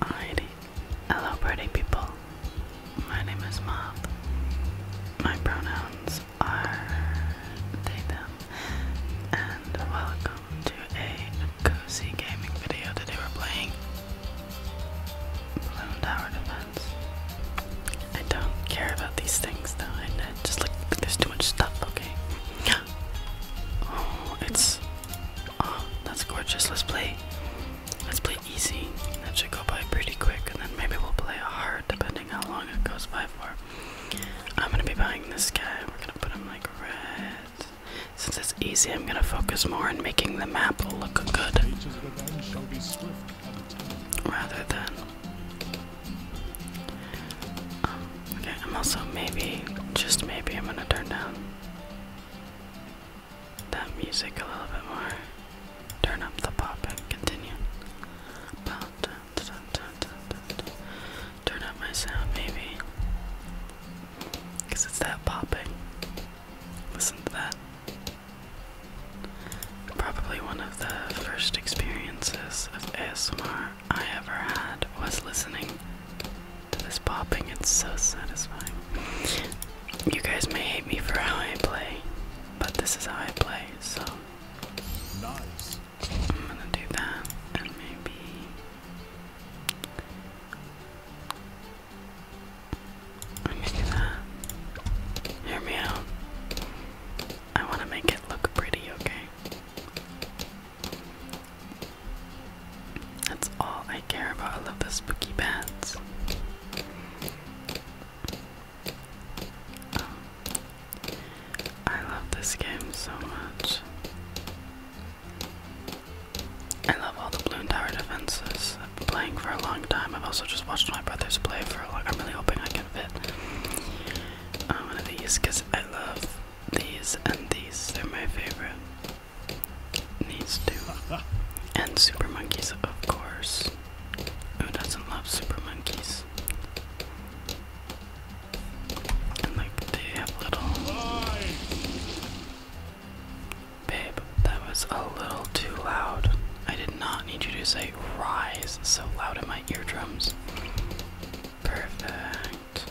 Alrighty, hello pretty people. My name is Mob. My pronouns are they, them, and welcome to a cozy gaming video. that we were playing Tower Defense. I don't care about these things though, I just like, there's too much stuff, okay? Oh, it's. Oh, that's gorgeous. Let's play. Let's play easy. That should go by pretty quick, and then maybe we'll play hard, depending how long it goes by for. I'm gonna be buying this guy. We're gonna put him like red. Since it's easy, I'm gonna focus more on making the map look good, rather than. Um, Okay, I'm also maybe, just maybe, I'm gonna turn down that music a little bit more. Turn up the pop and continue. Turn up my sound, maybe. Because it's that popping. Listen to that. Probably one of the first experiences of ASMR I ever had was listening to this popping. It's so satisfying. You guys may hate me for how I play, but this is how I play, so I'm gonna do that and maybe I'm gonna do that. Hear me out. I wanna make it look pretty, okay? That's all I care about. I love the spooky bats. I love this game so much. I love all the balloon tower defenses. I've been playing for a long time. I've also just watched my brothers play for a long I'm really hoping I can fit um, one of these because I love these and these, they're my favorite. These two. And super monkeys, of course. Who doesn't love super monkeys? And like they have little Babe, that was a little too loud. I did not need you to say rise so loud in my eardrums. Perfect.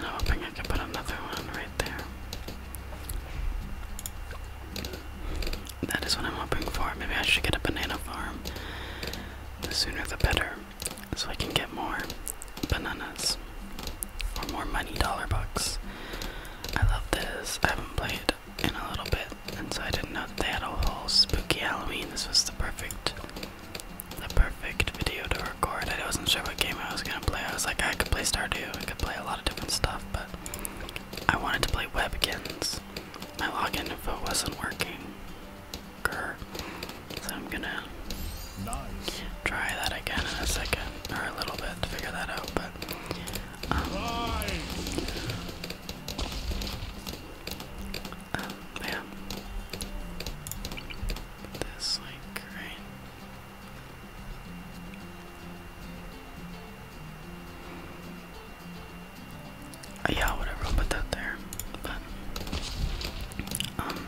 I'm hoping I can put another one right there. That is what I'm hoping for. Maybe I should get a banana farm. The sooner the better. So I can get more bananas. Or more money dollar bucks. I love this. I haven't played in a little bit, and so I didn't know that they had a whole spooky Halloween. This was the perfect the perfect video to record. I wasn't sure what game I was gonna play. I was like, I could play Stardew, I could play a lot of different stuff, but I wanted to play Webkins. My login info wasn't working. Grr. So I'm gonna try that again in a second, or a little bit to figure that out, but um, yeah. this like right. Uh, yeah, whatever, put that there. But um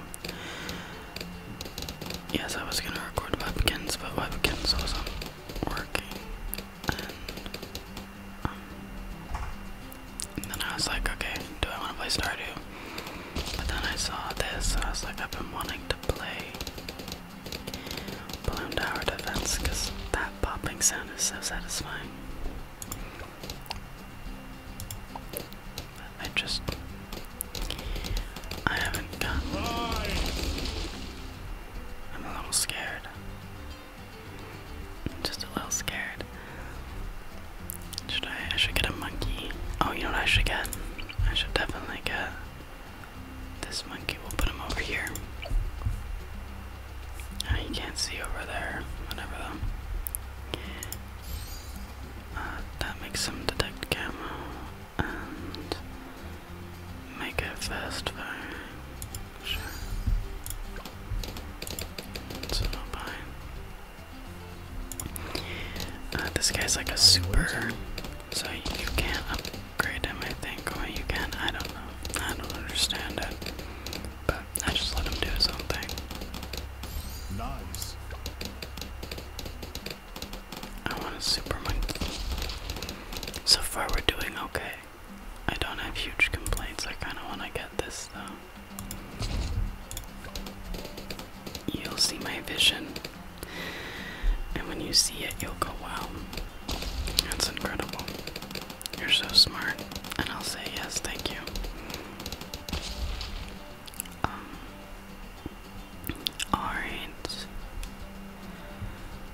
Yes, I was gonna record webkins, but webkins wasn't working. And um and then I was like, okay, do I want to play Stardew? But then I saw this, and I was like, I've been wanting to play Balloon Tower Defense because that popping sound is so satisfying. I just. I haven't gotten. I'm a little scared. I'm just a little scared. Should I? I should get a monkey. Oh, you know what I should get? I should definitely get this monkey. We'll put him over here. Oh, you can't see over there. Whatever uh, that makes him detect camo and make it fast fire. Sure. So fine. Uh, this guy's like a super, so you can't upgrade him, I think. Or you can, I don't know. I don't understand it. But I just let him do his own thing. Nice. I want a super monkey. So far, we're doing okay. I don't have huge complaints. I kind of want to get this though. You'll see my vision. And when you see it, you'll go, wow, that's incredible. You're so smart. And I'll say, yes, thank you. Um, Alright.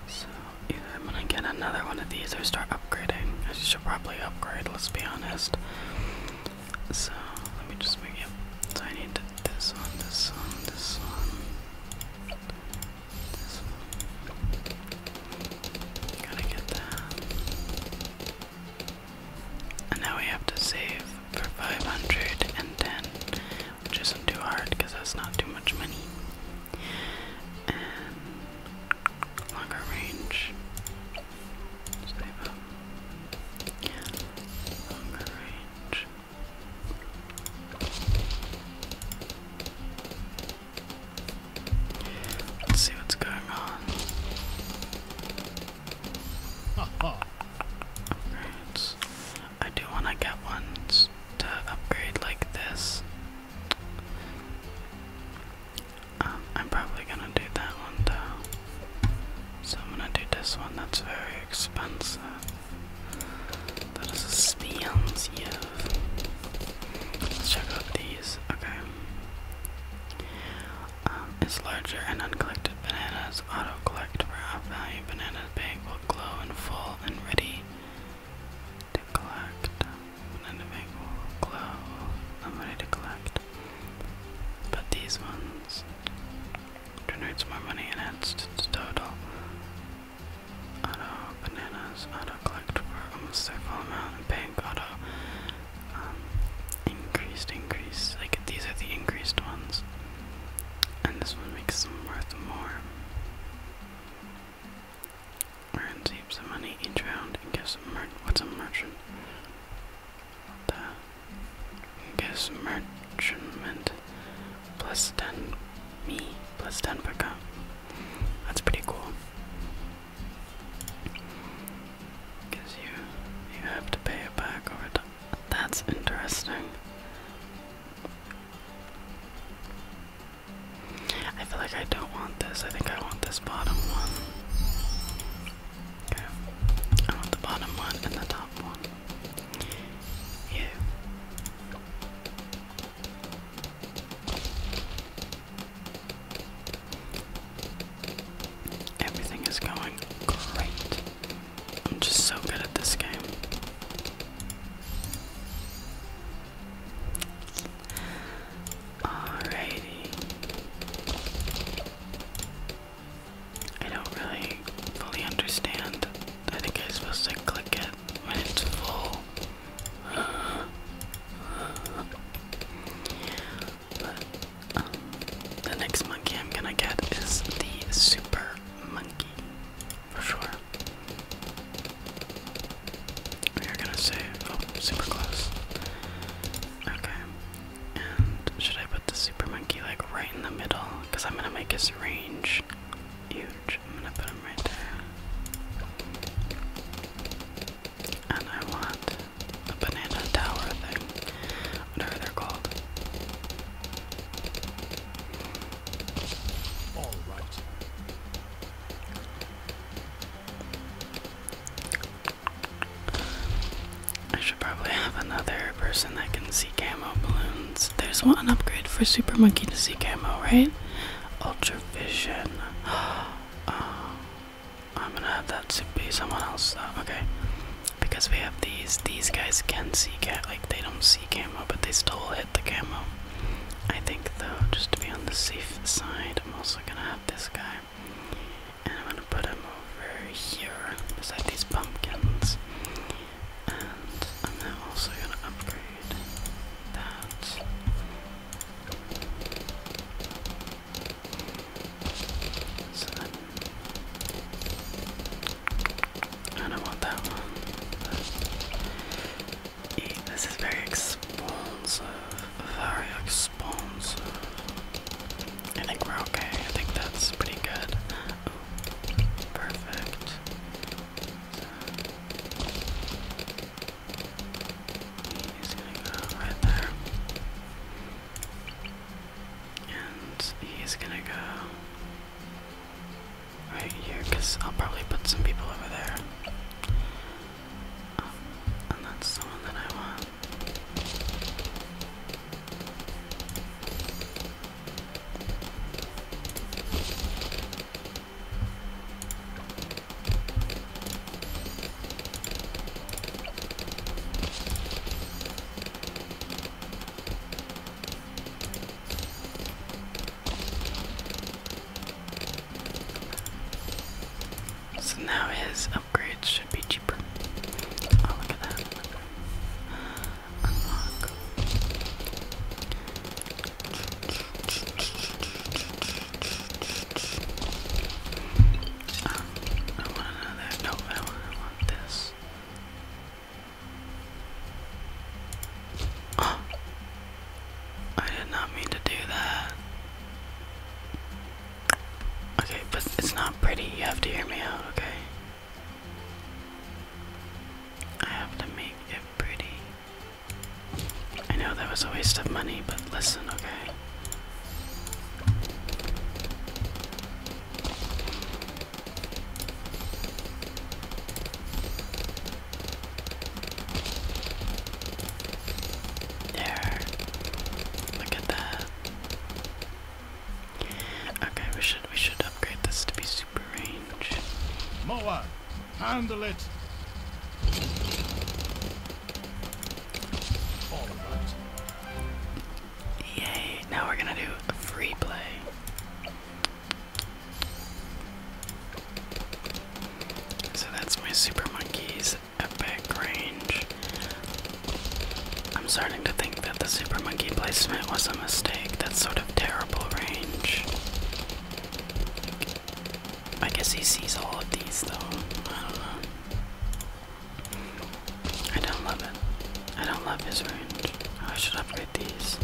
So, either I'm gonna get another one of these or start upgrading. I should probably upgrade, let's be honest. So let me just make it. So I need this one, this one, this one, this one. Gotta get that. And now we have to save for 510, which isn't too hard because that's not too much money. And longer range Let's see what's going on. Upgrades. I do want to get ones to upgrade like this. Um, I'm probably gonna do that one though. So I'm gonna do this one, that's very expensive. That is expensive. Let's check out these, okay. Um, it's larger and uncollected bananas. Auto collect for half value. Banana bag will glow in full and ready to collect. Banana bag will glow. i ready to collect. But these ones generates more money and adds to the total. Auto bananas, auto collect for almost their amount, and bank auto um, increased increase. Like these are the increased ones, and this one makes them worth more. Earns heaps of money each round and gives a What's a merchant? the guess merchant plus 10 me plus 10 pickup. That's pretty cool. Because you you have to pay it back over time. That's interesting. I feel like I don't want this. I think I want this bottom one. I want the bottom one and the top one. You. Everything is going great. I'm just so good at this game. Alrighty. I don't really fully understand. I think I'm supposed to click it when it's full. But um, the next monkey I'm gonna get is the super monkey for sure. We are gonna save. Oh, super close. Okay, should I put the super monkey like right in the middle? Because I'm gonna make his range huge. I'm gonna put him right there. And I want a banana tower thing. Whatever they're called. All right. I should probably have another person that can see camo balloons. There's one upgrade for Super Monkey to see camo, right? Ultra Vision. Um, I'm gonna have that to be someone else though. Okay. Because we have these. These guys can see camo. like they don't see camo, but they still hit the camo. I think though, just to be on the safe side, I'm also gonna have this guy. And I'm gonna put them over here beside these pumpkins. And I'm now also gonna upgrade that. So then I want that one. This is very expensive, very expensive. I think we're okay. I think that's pretty good. perfect. He's gonna go right there. And he's gonna go right here, because I'll probably put some people over there. Um, and that's the one that I want. So now his upgrades should be cheaper. Oh, look at that. Unlock. Um, I want another. No, I want this. I did not mean to do that. Okay, but it's not pretty. You have to hear me out, okay? I have to make it pretty. I know that was a waste of money, but listen, okay? There. Look at that. Okay, we should we should upgrade this to be super range. Moa, handle it. Yay! Now we're gonna do free play. So that's my super monkeys epic range. I'm starting to think that the Super Monkey placement was a mistake. That's sort of terrible range. I guess he sees all of these though. I don't love it. I don't love his range. Oh, I should upgrade these.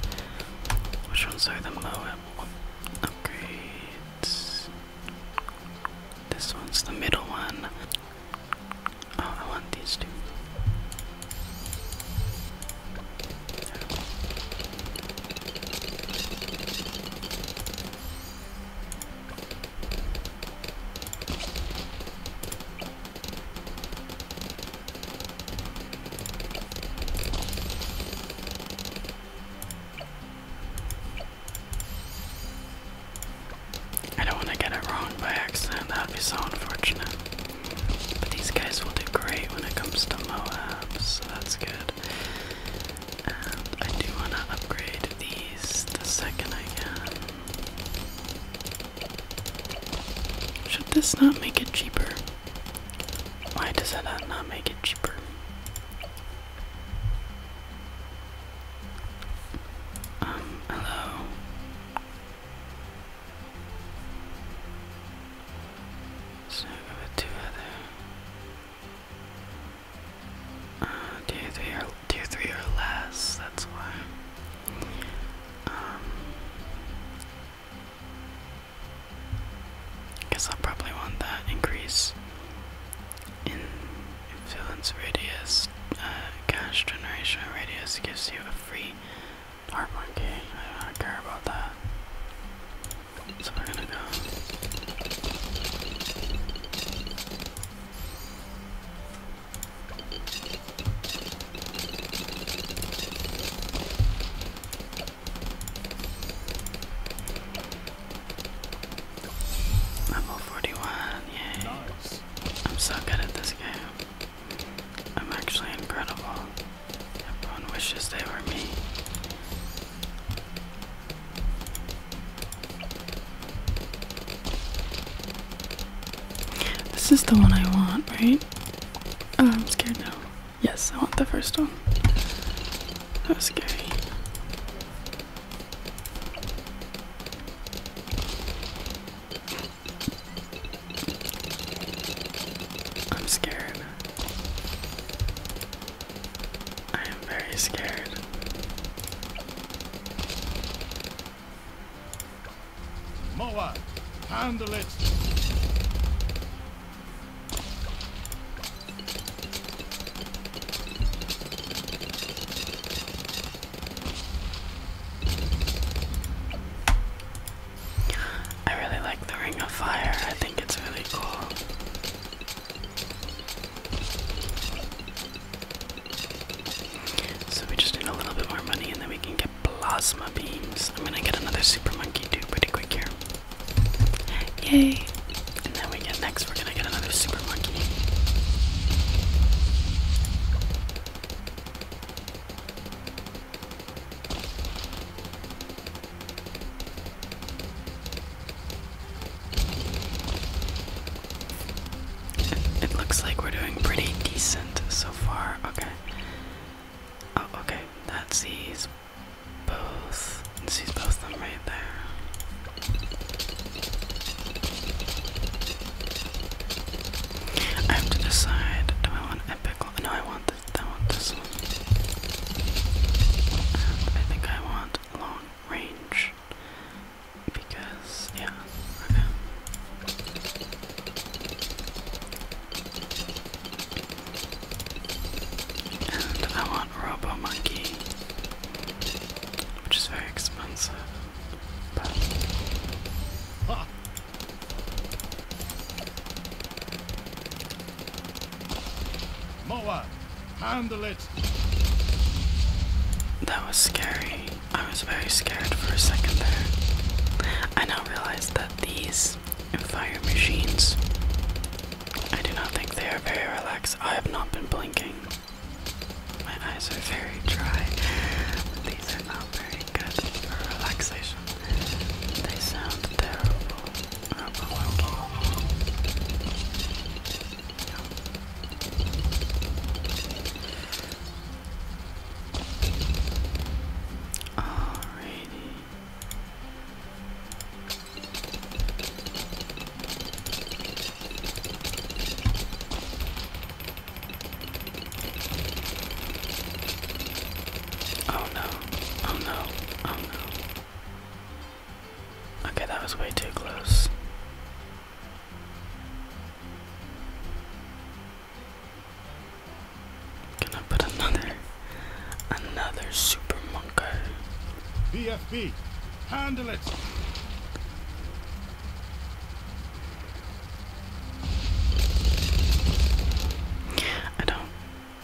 Which ones are the low upgrades? This one's the middle one. Oh, I want these two. I don't want to get it wrong by accident, that would be so unfortunate. But these guys will do great when it comes to Moab, so that's good. Um, I do want to upgrade these the second I can. Should this not make it cheaper? Why does that not make it cheaper? Um, hello. So over two other. Uh, three or or less. That's why. Um. Guess I'll probably want that increase in influence radius, uh, cash generation radius gives you a free hard one I don't care about that. So we're gonna go level forty one, yay. I'm so good at this game. I'm actually incredible. Everyone wishes they were me. This is the one I want, right? Oh, I'm scared now. Yes, I want the first one. That was scary. I'm scared. I am very scared. Moa, handle it. I really like the Ring of Fire, I think it's really cool. So we just need a little bit more money and then we can get plasma beams. I'm gonna get another super monkey too pretty quick here. Yay! And then we get next we're gonna get another super it looks like we're doing pretty decent so far. Okay. Oh, okay. That sees both. sees both of them right there. I have to decide. Do I want epic? No, I want I want this one. I think I want long range because yeah. Okay. And I want Robo Monkey, which is very expensive. Moa, handle it. That was scary. I was very scared for a second there. I now realize that these fire machines, I do not think they are very relaxed. I have not been blinking. My eyes are very dry. These are not very good for relaxation. They sound terrible. Alrighty. Oh no, oh no, oh no. Okay, that was way too close. Can I put another, another super monker? BFB, handle it! I don't.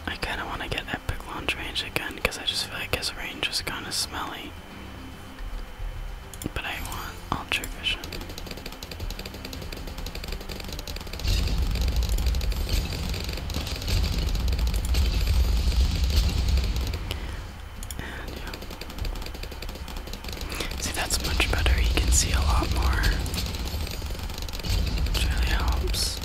I kind of want to get epic long range again because I just feel like his range is kind of smelly. But I want ultra vision. See, that's much better. You can see a lot more. Which really helps.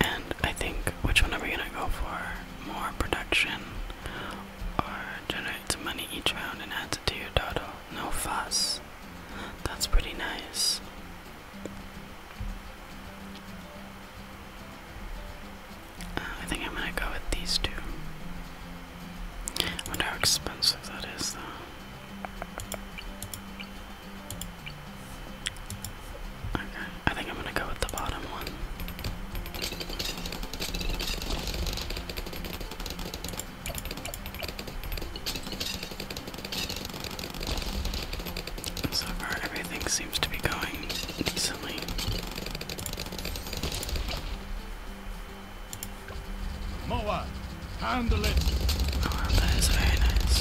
And I think which one are we gonna go for? More production or generate some money each round and add it to your total? No fuss. That's pretty nice. Uh, I think I'm gonna go with these two. I wonder how expensive that is, though. Okay, I think I'm gonna go with the bottom one. So far, everything seems to be going decently. Moa, handle it. Oh, that is very nice.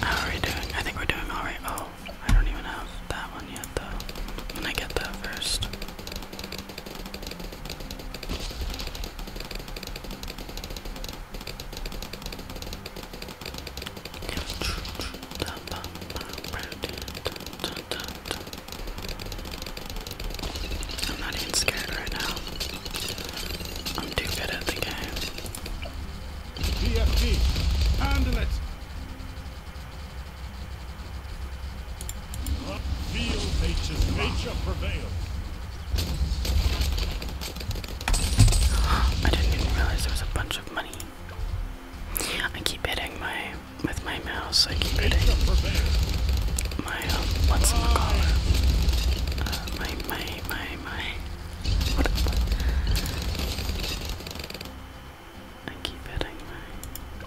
How are we doing? I think we're doing all right. Oh, I don't even have that one yet, though. When I get that first. I'm not even scared right now. I'm too good at the game. DFG, handle it nature's nature prevails. I didn't even realize there was a bunch of money. I keep hitting my with my mouse. I keep hitting my um, what's in uh, my my my my. What? I keep hitting my.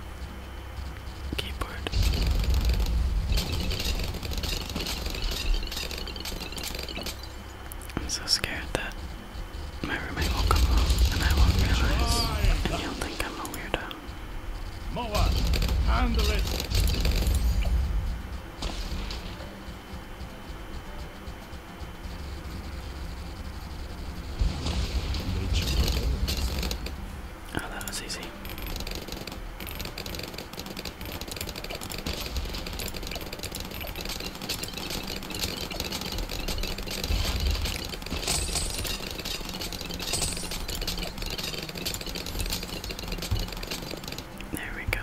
I'm so scared that my roommate will come home and I won't realize, and he'll think I'm a weirdo. Oh, that was easy. There we go.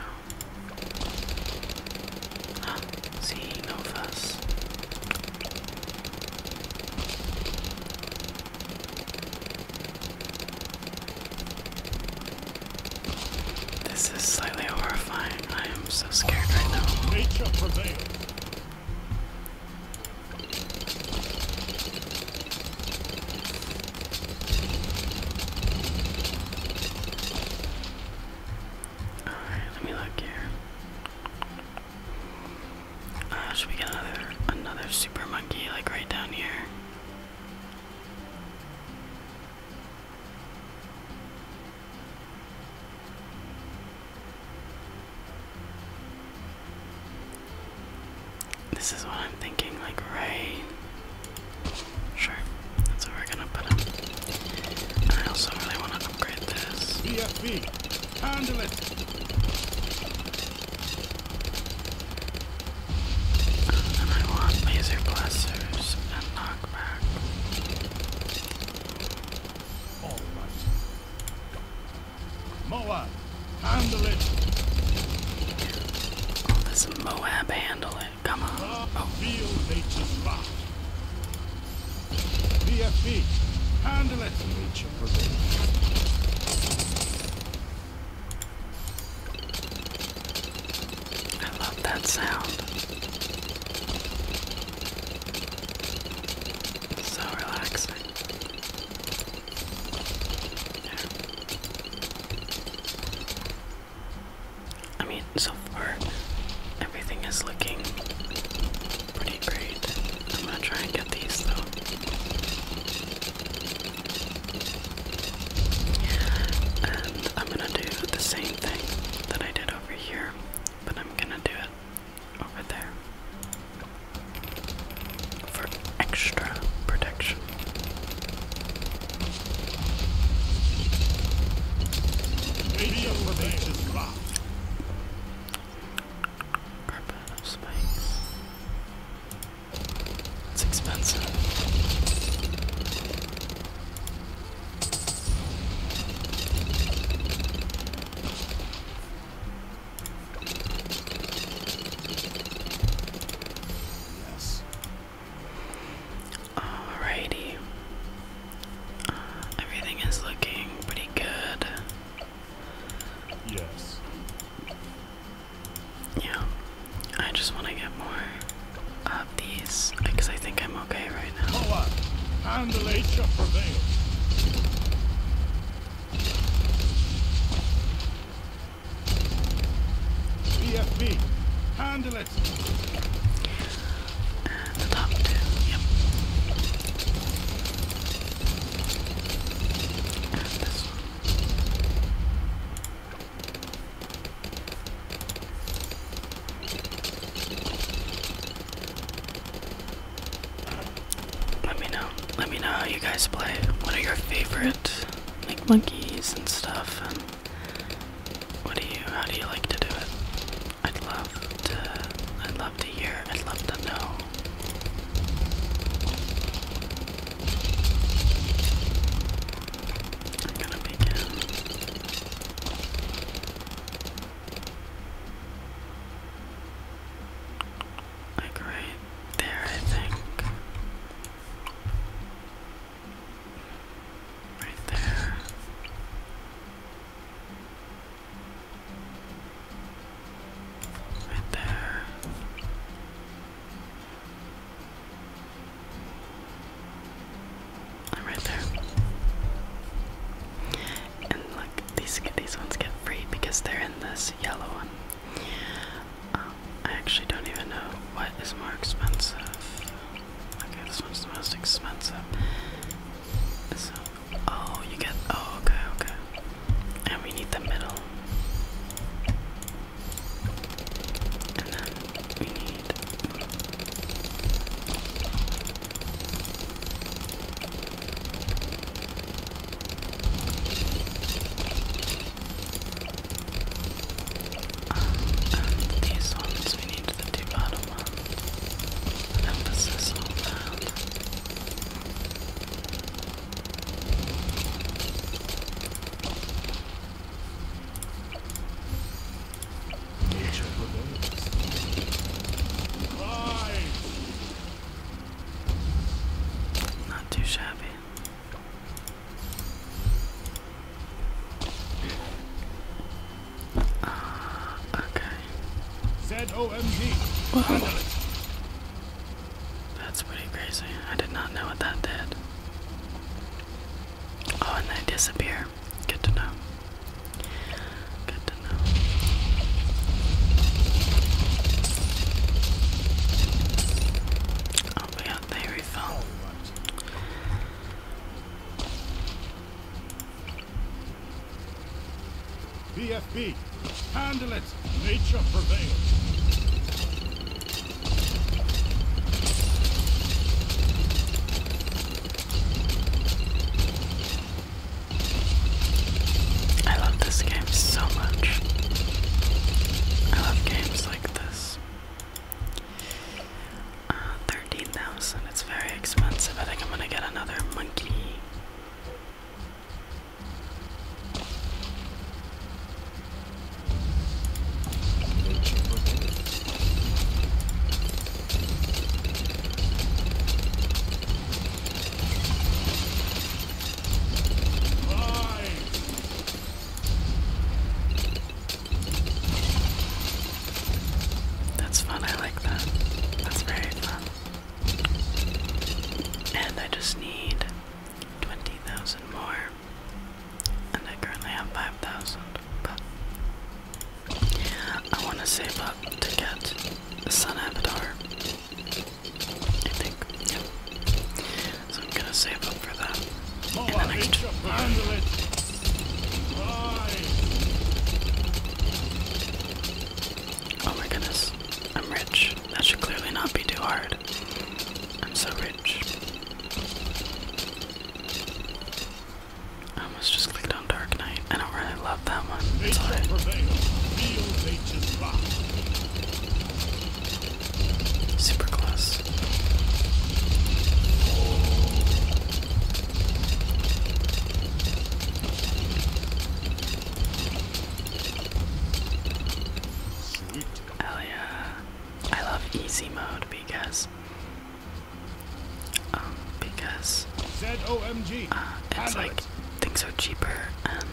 Ah, see, no fuss. This is slightly horrifying. I am so scared right now. Nature prevailed. All right, let me look here. Uh, should we get another another super monkey like right down here? This is what I'm thinking, like right. Sure, that's where we're gonna put him. I also really want to upgrade this. BFB, handle it. And I laser blessers and knockback. All right. Moab, handle it. Come on. Oh. Feel nature's rock. BFB, handle it. I love that sound. so relaxing. I mean, so far, everything is looking pretty great. I'm gonna try and get these though. And I'm gonna do the same thing that I did over here, but I'm gonna do it over there for extra protection. Radiant formations rock. Carpet of spikes. It's expensive. Yes. Alrighty. everything is looking pretty good. Yes. Yeah, I just want to get more of these because I think I'm okay right now. Right. And the late shall handle it. the top two, yep. this one. Let me know. Let me know how you guys play. What are your favorite like monkeys and stuff and what do you how do you like to do it? I'd love to I'd love to hear, I'd love to know I'm gonna begin like right there, I think. Right there. Right there. I'm right there. And look, these these ones get free because they're in this yellow one. Um, I actually don't even know what is more expensive. Okay, this one's the most expensive. So, oh, you get. Oh, okay, okay. And we need the middle. And then we need these ones, we need the two bottom ones. Emphasis on that. Not too shabby. Uh, okay. Z O M G. That's pretty crazy. I did not know what that did. Oh, and they disappear. Good to know. Good to know. Oh my god, they refill. BFB, Handle it. Nature prevails. I love this game so much. I love games like this. Uh, 13,000, it's very expensive. I think I'm gonna get another monkey. That's fun, I like that. That's very fun. And I just need 20,000 more. And I currently have 5,000, but I want to save up to get Sun Avatar. I think, So I'm gonna save up for that Oh my goodness, I'm rich. That should clearly not be too hard. I'm so rich. I almost just clicked on Dark Knight. I don't really love that one. It's alright. Super close. Oh yeah. I love easy mode because um because uh, it's like things are cheaper and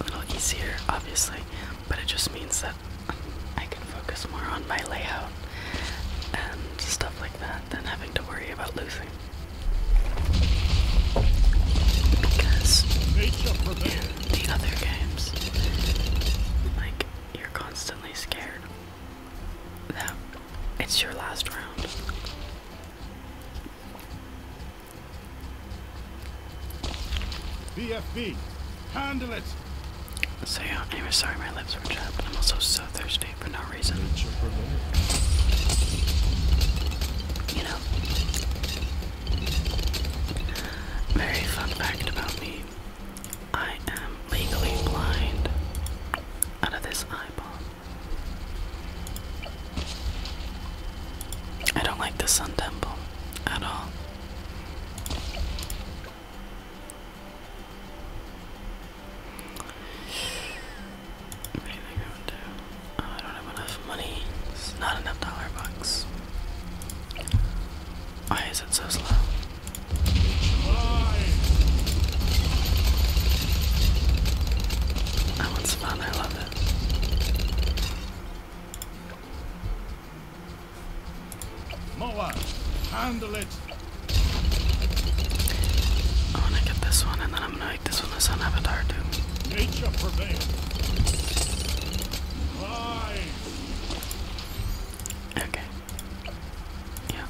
a little easier obviously, but it just means that I can focus more on my layout and stuff like that than having to worry about losing. Because the other games. Like, you're constantly scared that it's your last round. BFB, handle it. So yeah, anyway, sorry my lips were chapped. I'm also so thirsty for no reason. You know, very fun fact about me I am legally blind out of this eyeball. I don't like the Sun Temple at all. Anything I Oh, I don't have enough money. It's not enough dollar bucks. Why is it so slow? That one's fun, I love it. Moa, handle it. I wanna get this one and then I'm gonna make this one the sun avatar too. Nature prevails. Okay. Yeah.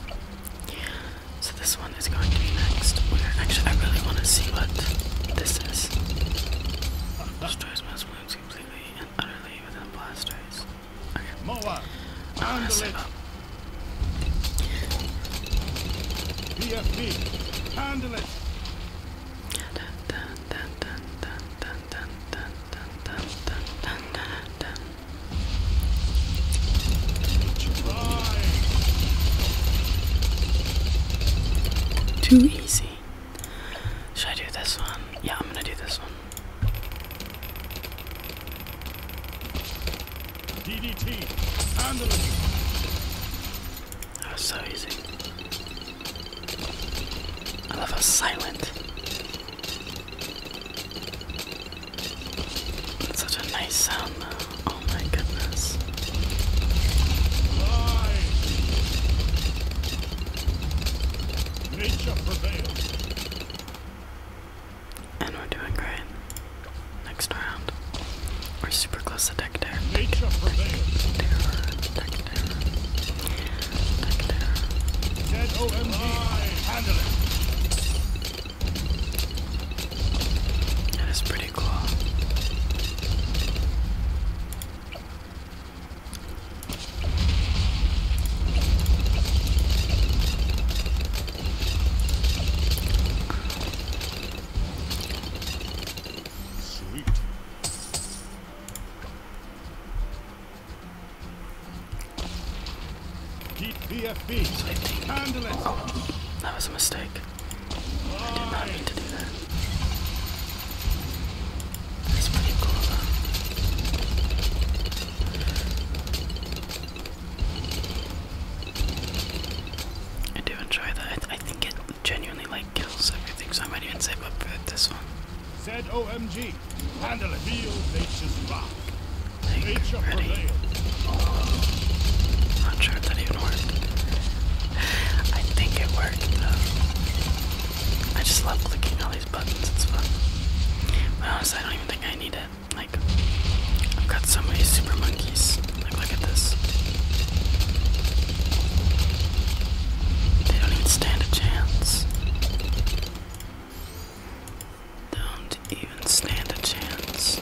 So this one is going to be next. We're actually, I really want to see what this is. Destroys most wounds completely and utterly within blast rays. Okay. I'm handle it. Da, da, too easy. Should I do this one? Yeah, I'm gonna do this one. DDT, handle it. That was so easy. I love how silent. That's such a nice sound Oh my goodness. And we're doing great. Next round. We're super close to Protector, protector, protector, protector. Dead Handle it. That is pretty cool. Sweet. Keep Handle it. Oh, that was a mistake. I did not mean to do that. That's pretty cool though. I do enjoy that. I think it genuinely like kills everything, so I might even save up for this one. Said OMG, handle it. Feel nature's rock. ready. not sure if that even worked. I think it worked though. I just love clicking all these buttons, it's fun. But honestly, I don't even think I need it. Like, I've got so many super monkeys. look at this. They don't even stand a chance. Don't even stand a chance.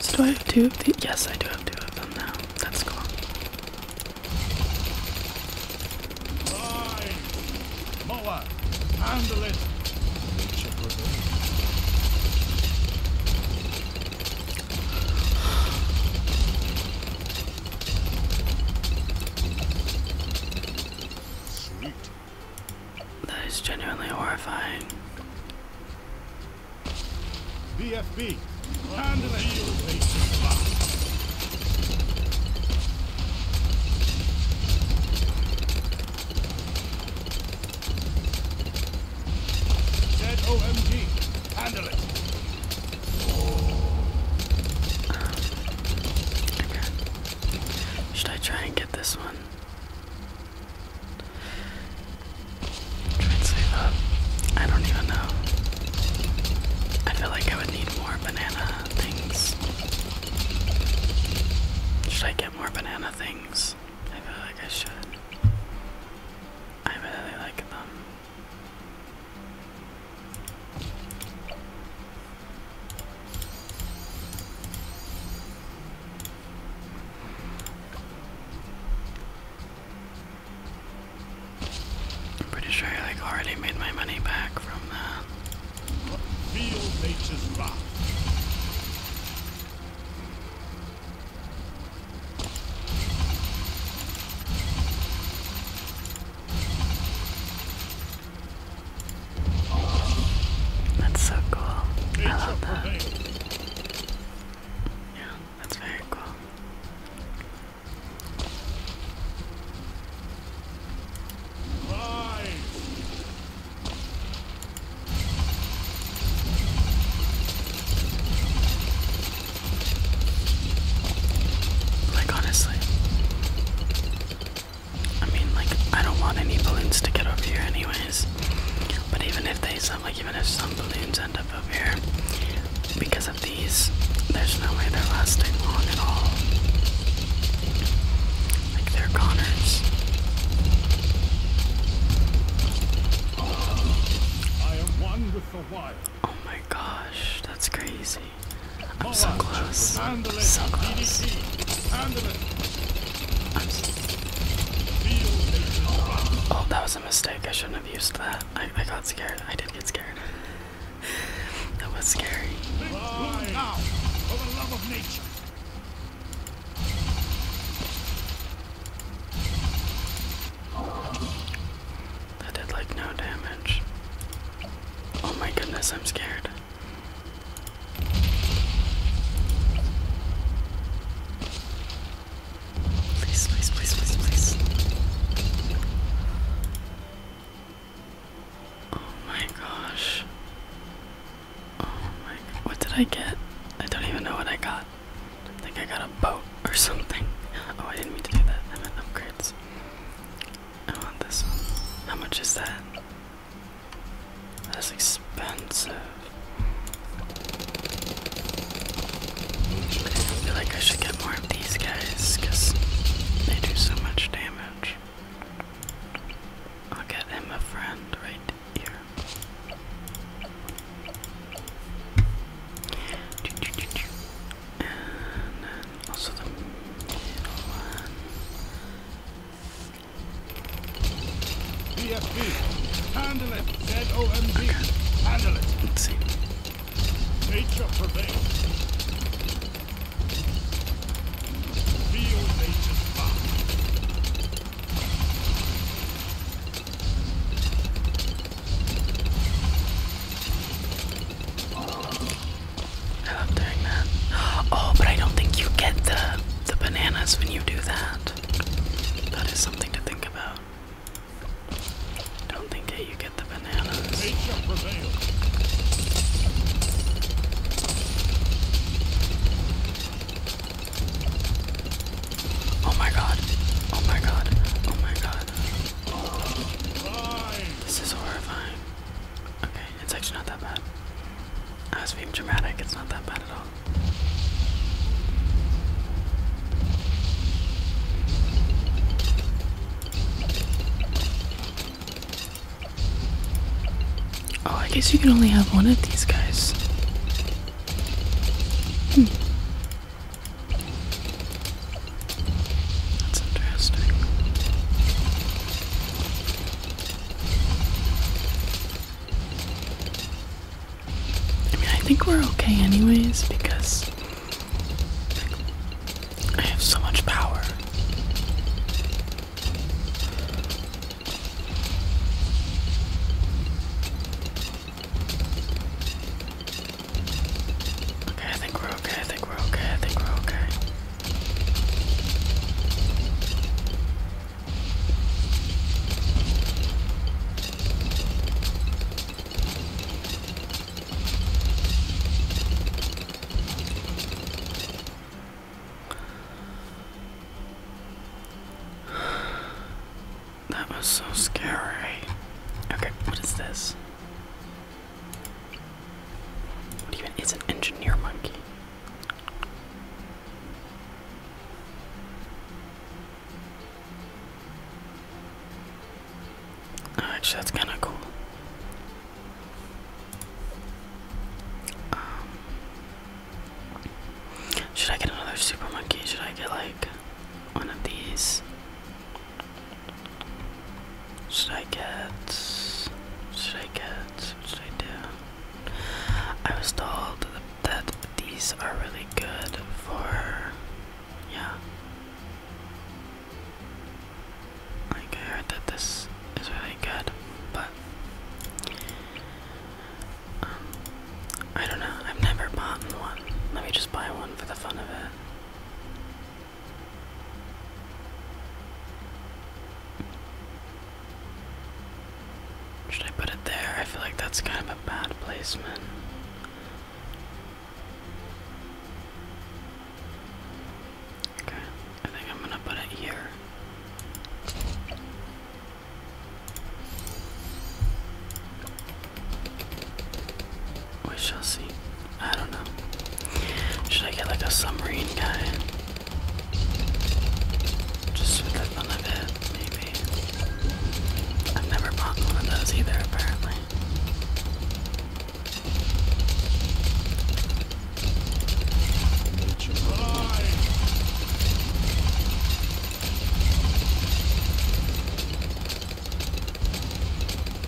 So do I have two of these? Yes, I do have two of them now. That's cool. Moa, that is genuinely horrifying. BFB, handle it. Should I try and get this one? Try and save up. I don't even know. I feel like I would need more banana things. Should I get more banana things? I feel like I should. I really like them. I'm pretty sure I like already made my money back from that. That's so cool. I love that. Yeah, that's very cool. Right. Like, honestly. I mean, like, I don't want any balloons to get over here, anyways. But even if they some, like, even if some balloons end up over here, because of these, there's no way they're lasting long at all. Like, they're goners. Oh my gosh, that's crazy. I'm so close. I'm so close. I'm so oh, that was a mistake. I shouldn't have used that. I, I got scared. I did get scared. that was scary. Now, for the love of nature. That did like no damage. Oh my goodness, I'm scared. Please, please, please, please, please. Oh my gosh. Oh my. What did I get? I don't even know what I got. I think I got a boat or something. Oh, I didn't mean to do that. I meant upgrades. I want this one. How much is that? That's expensive. I feel like I should get more of these guys because they do so much damage. I'll get him a friend right here. And then also the middle one. BFB, handle it. ZOMB, okay. handle it. Let's see. Nature prevails. Real nature's power. Oh, but I don't think you get the the bananas when you do that. That is something to think about. Don't think that you get the bananas. Oh my god. Oh my god. Oh my god. This is horrifying. Okay, it's actually not that bad. I was being dramatic, it's not that bad at all. Oh, I guess you can only have one of these guys. Hmm. I think we're okay, anyways, because I have so much power. Okay, I think we're okay, I think we're okay, I think we're okay. That was so scary. Okay, what is this? What even is an engineer monkey? Oh, actually, that's kind of cool. Um, should I get another super monkey? Should I get like one of these. Should I get? Should I get? should I do? I was told that these are really good for. Yeah. Like, I heard that this is really good, but. Um, I don't know. I've never bought one. Let me just buy one for the fun of it. Should I put it there? I feel like that's kind of a bad placement. Okay, I think I'm gonna put it here. We shall see. I don't know. Should I get like a submarine guy? Just for the fun of it, maybe. I've never bought one of those either, apparently.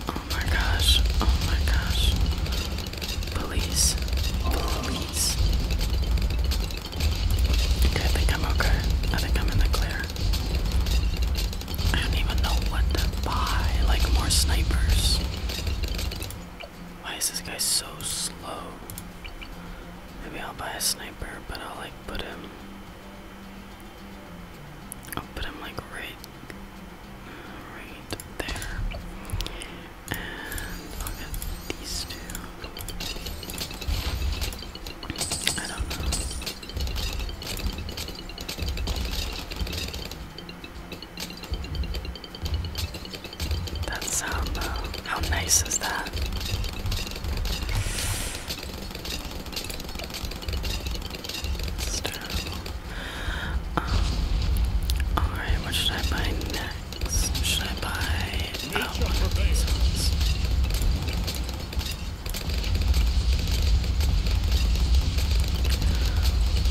Oh my gosh. Oh my gosh. Police. Police. I think I'm okay. I think I'm in the clear. I don't even know what to buy. Like more snipers. Why is this guy so slow? Maybe I'll buy a sniper, but I'll like put him I'll like right, right there. And I'll these two. I don't know. That sound how nice is that? Um, alright, what should I buy next? Should I buy oh,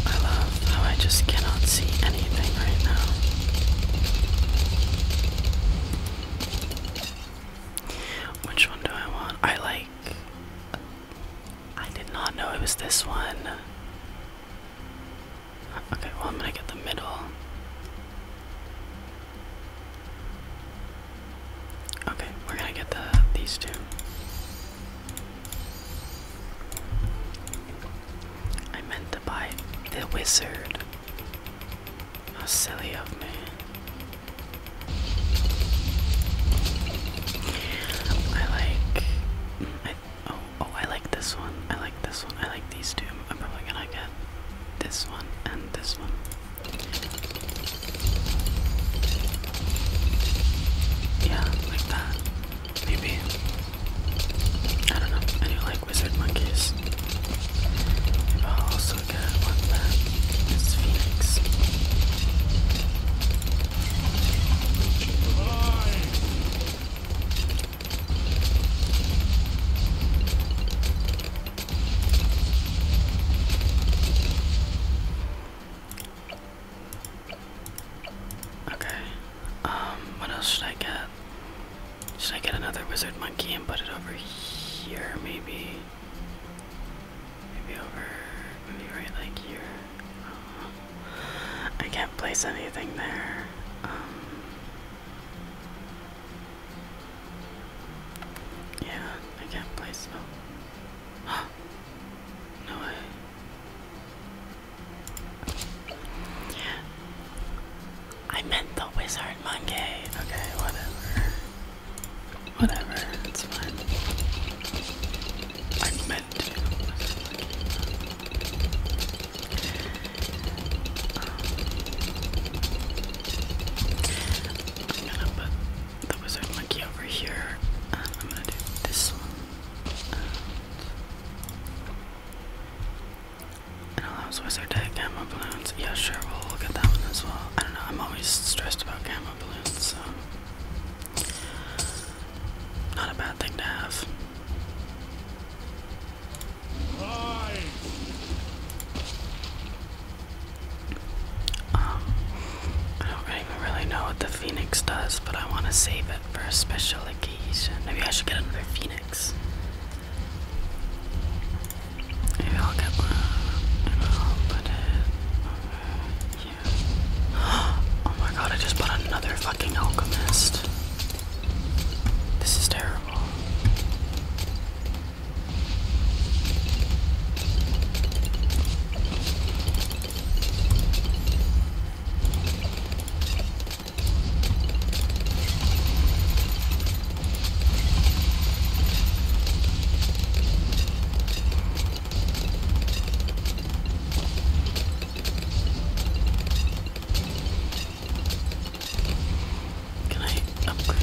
I love how I just cannot see anything right now. Which one do I want? I like. I did not know it was this one. Okay, well, I'm gonna get the middle. Okay, we're gonna get the these two. I meant to buy the wizard. How silly of me. I like. I, oh, oh, I like this one. I like this one. I like these two. I'm probably gonna get this one and this one. Yeah, like that. Maybe. I don't know. I do like wizard monkeys. also Okay. Um, what else should I get? Should I get another wizard monkey and put it over here, maybe? Maybe over, maybe right like here. Uh, I can't place anything there. Um, yeah, I can't place. Oh, no way. I meant the wizard monkey. Okay, whatever. Whatever, it's fine. I meant to. Um, I'm gonna put the wizard monkey over here, um, I'm gonna do this one. And allows wizard to have camo balloons. Yeah, sure, we'll look at that one as well. I don't know, I'm always stressed about camo not a bad thing to have. Um, I don't even really know what the phoenix does, but I want to save it for a special occasion. Maybe I should get another phoenix. Oh my god, I just bought another fucking alchemist. This is terrible. Can I upgrade?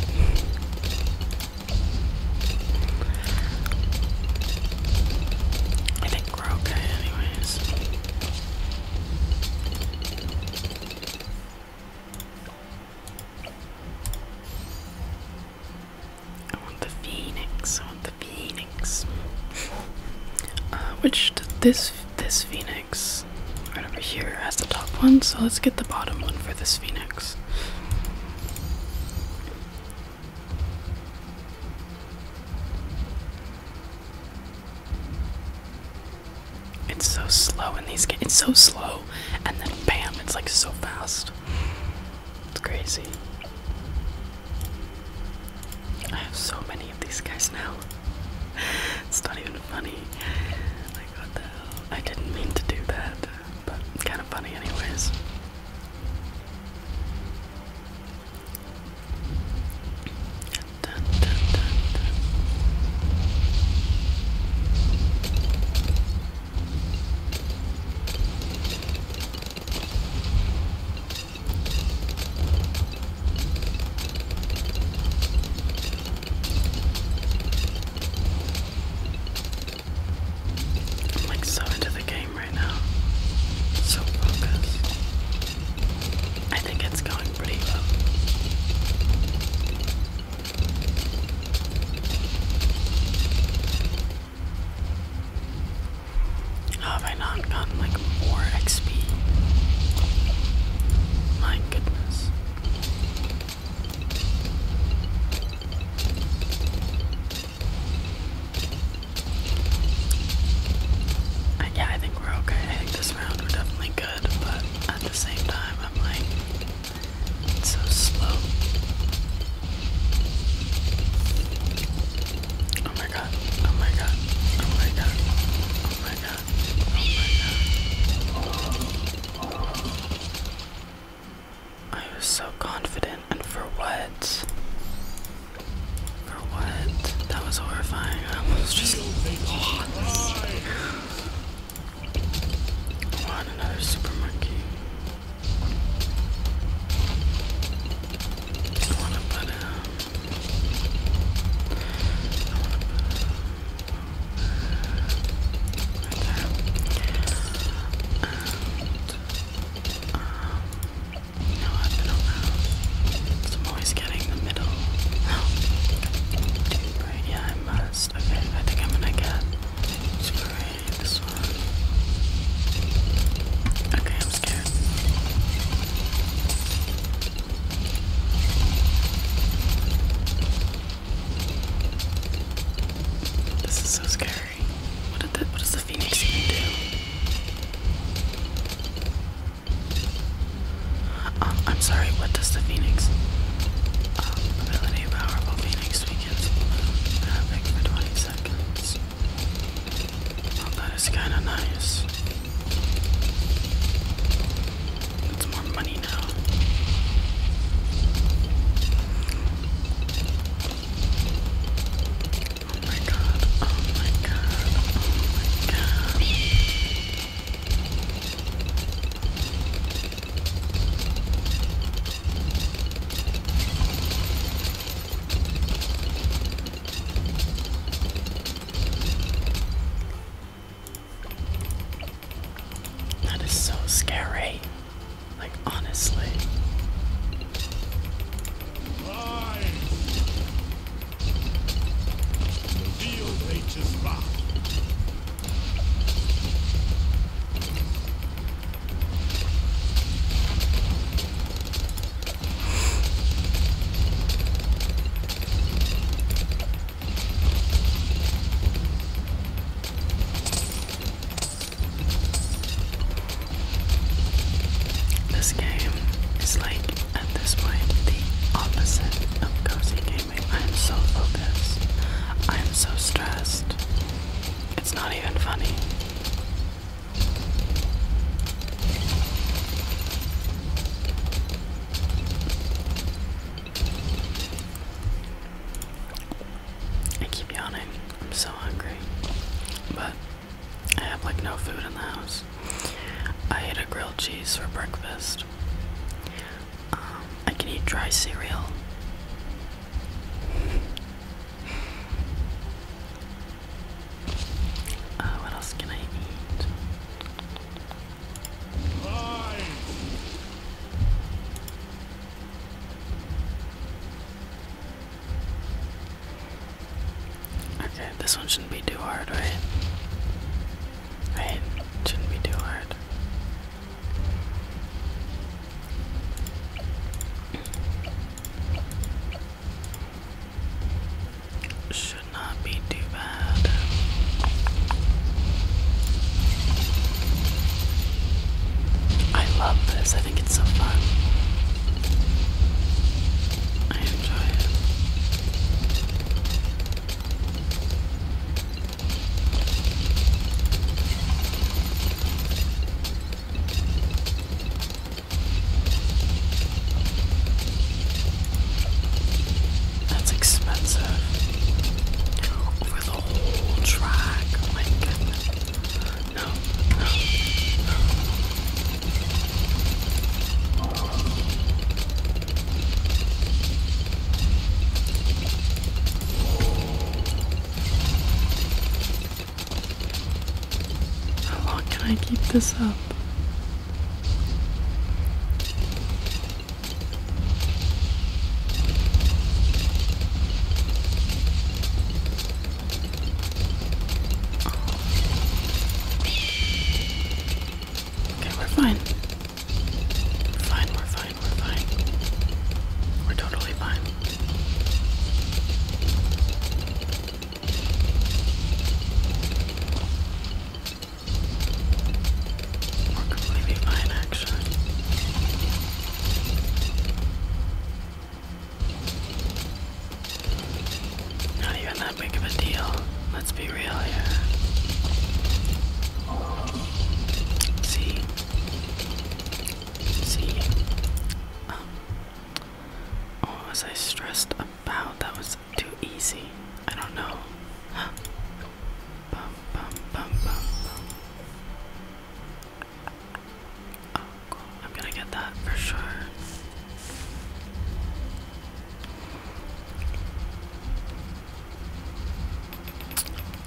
I think we're okay, anyways. I want the phoenix. I want the phoenix. Uh, which this this phoenix right over here has the top one, so let's get the bottom one for this phoenix. It's so slow in these games. It's so slow, and then bam, it's like so fast. It's crazy. I have so many of these guys now. it's not even funny. I didn't mean to do that, but kind of funny, anyways. I'm like so into the game right now. So focused. I think it's going pretty well. Have I not gotten like more XP? My goodness. Uh, yeah, I think we're okay. I think this round we're definitely good, but at the same time, I'm like, it's so slow. Oh my god. Oh my god. Oh my god. Oh my god. Oh my god. I was so confident and for what? For what? That was horrifying. I was just lost. I want another super I wanna put him. I wanna put him. Right there. And, um, you know, I've been around. So I'm always getting the middle. Oh, right, yeah, I must. Okay, I think I'm gonna get. Spray. Okay, I'm scared. This is so scary. What did the, what does the phoenix even do? Uh, I'm sorry, what does the phoenix um, ability powerful phoenix it happening for 20 seconds. Well, that is kind of nice. It's more money now. Oh my god, oh my god, oh my gosh. That is so scary. Like, honestly. This game is like at this point the opposite of cozy gaming. I am so focused. I am so stressed. It's not even funny. I keep yawning. I'm so hungry. But I have like no food in the house. I ate a grilled cheese for breakfast. Um, I can eat dry cereal. Uh, what else can I eat? Okay, this one shouldn't be too hard, right? Right? Shouldn't be too hard. Should not be too bad. I love this, I think it's so fun. I enjoy it. That's expensive. Over the whole track. Oh my goodness. No, no, no. Oh. How long can I keep this up? Okay, we're fine. We're fine, we're fine we're fine. We're totally fine. We're completely fine, actually. Not even that big of a deal. Let's be real here. See? see. Um, oh, was I stressed about? That was too easy. I don't know. Oh, I'm gonna get that for sure.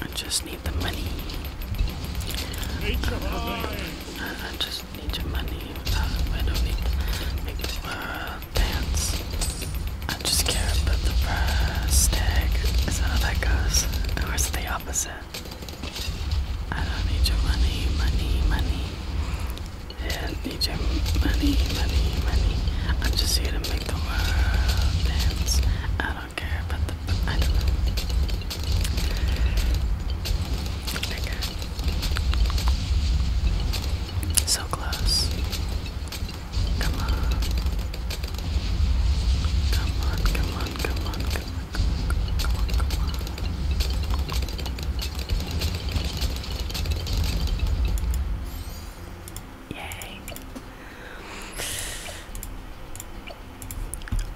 I just need the money. Uh, I just need your money. Uh, I don't need to make the world uh, dance. I just care about the price tag. Is that how that goes? Or is it the opposite? I don't need your money, money, money. Yeah, I need your money, money, money. I'm just here to make the world dance. I don't so close. Come on, come on, come on, come on, come on, come on. Yay.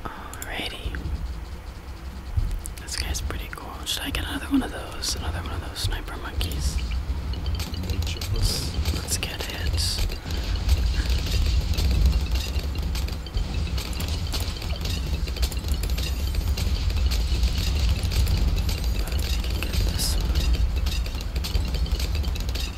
Alrighty. This guy's pretty cool. Should I get another one of those? Another one of those sniper monkeys? Let's, let's get it. But we this we're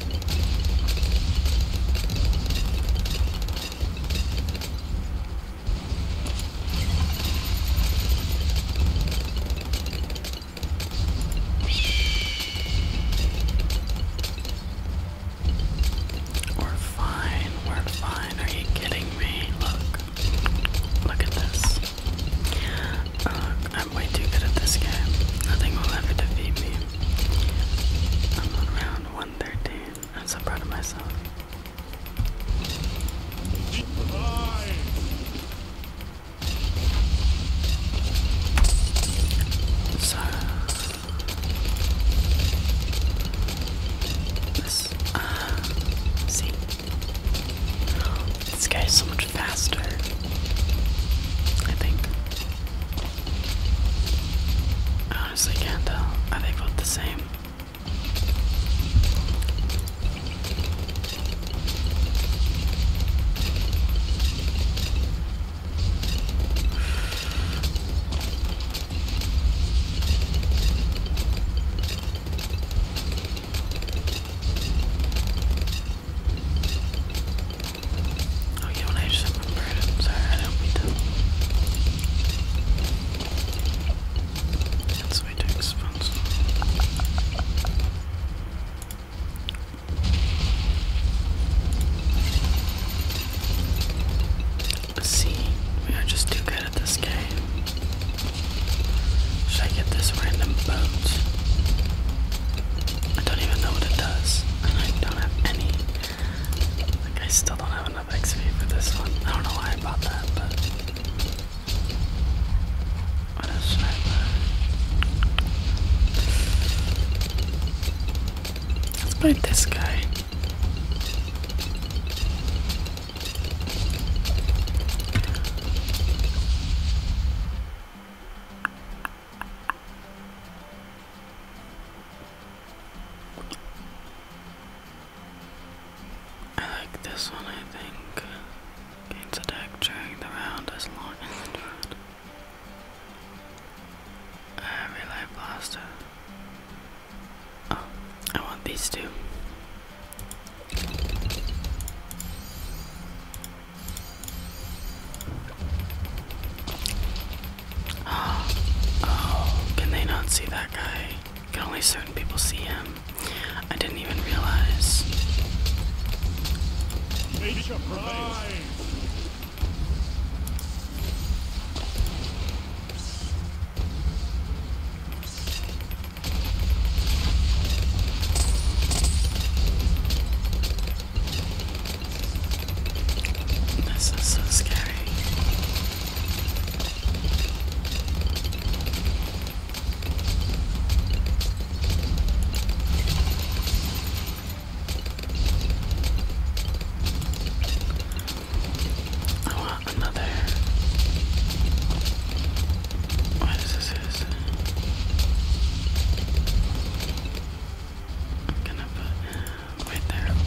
fine, we're fine. Are you kidding me? Look, look at this. Uh, I'm way too good at this game. Nothing will ever defeat me. I'm on round I'm so proud of myself. So this uh so much faster I think honestly can't tell. Are they both the same? Oh, you I just remembered. sorry, I don't mean to. way too expensive. See, we are just too good at this game. Should I get this random boat? I don't even know what it does, and I don't have any I still don't have enough XP for this one. I don't know why I bought that, but what else Let's bite this guy. I like this one, I think. Gains attack during the round as long as the round. Uh, Relay Blaster. Oh, I want these two. Oh, oh, can they not see that guy? Can only certain people see him. I didn't even realize. Make prize. This is so scary. I oh, want another. What is this? I'm gonna put. Right there. And,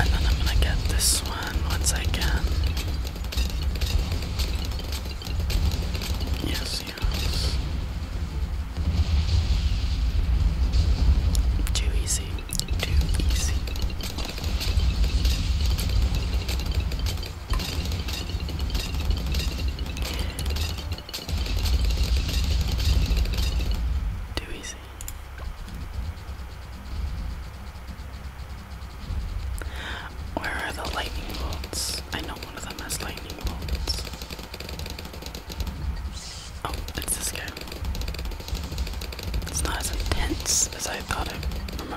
and then I'm gonna get this one once I can. Yes, yes. Too easy, too easy. Too easy. Where are the lightning bolts? I know one of them has lightning bolts. Oh, it's this guy. It's not as intense as I thought it. Remember.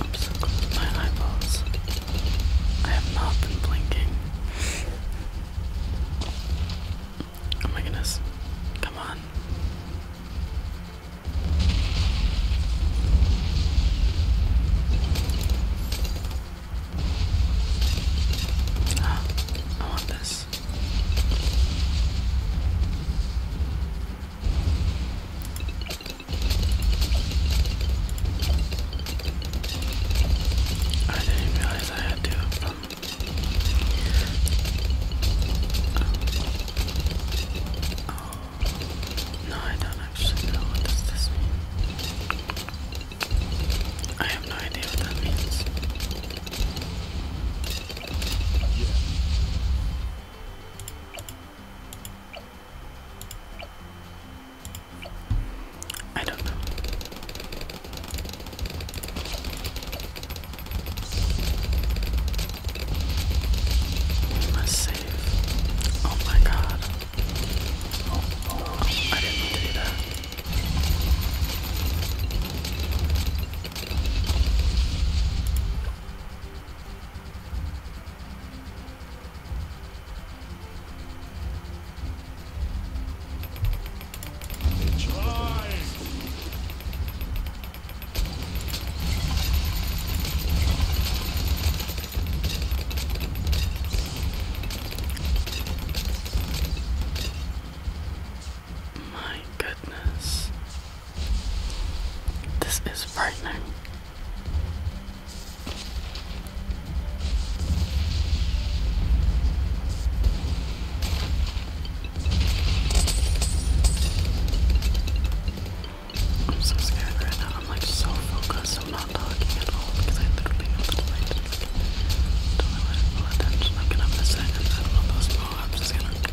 I'm so close my eyeballs. I have not been blinking. Oh my goodness. Come on. Ah, I want this. I didn't realize I had to. Um, no, I don't actually know what does this mean. I have no idea what that means. I don't know. We must save. Oh my god. Oh, oh, I didn't mean to do that. My goodness. This is frightening. I'm so scared right now. I'm like so focused. I'm not talking at all because I literally know that if I just like, attention, I'm gonna miss it. And those i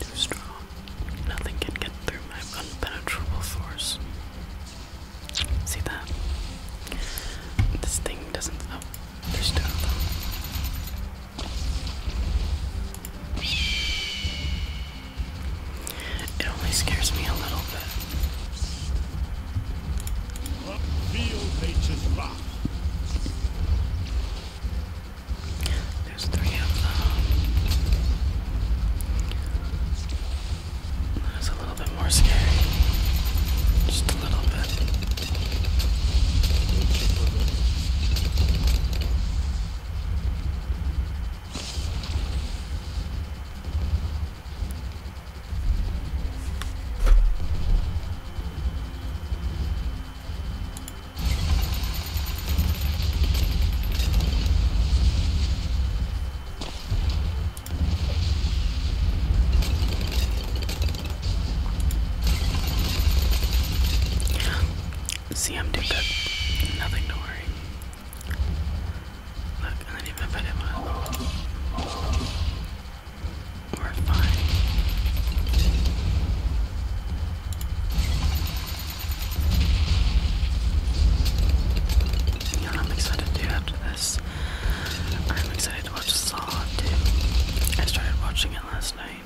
Too strong. Nothing can get through my unpenetrable force. See that? This thing doesn't. Oh, It only scares me a little bit. There's three of them. That's a little bit more scary. Just a little bit. See, I'm did that. Nothing to worry. Look, I didn't even put him on. I'm excited to do after this? I'm excited to watch Saw too. I started watching it last night,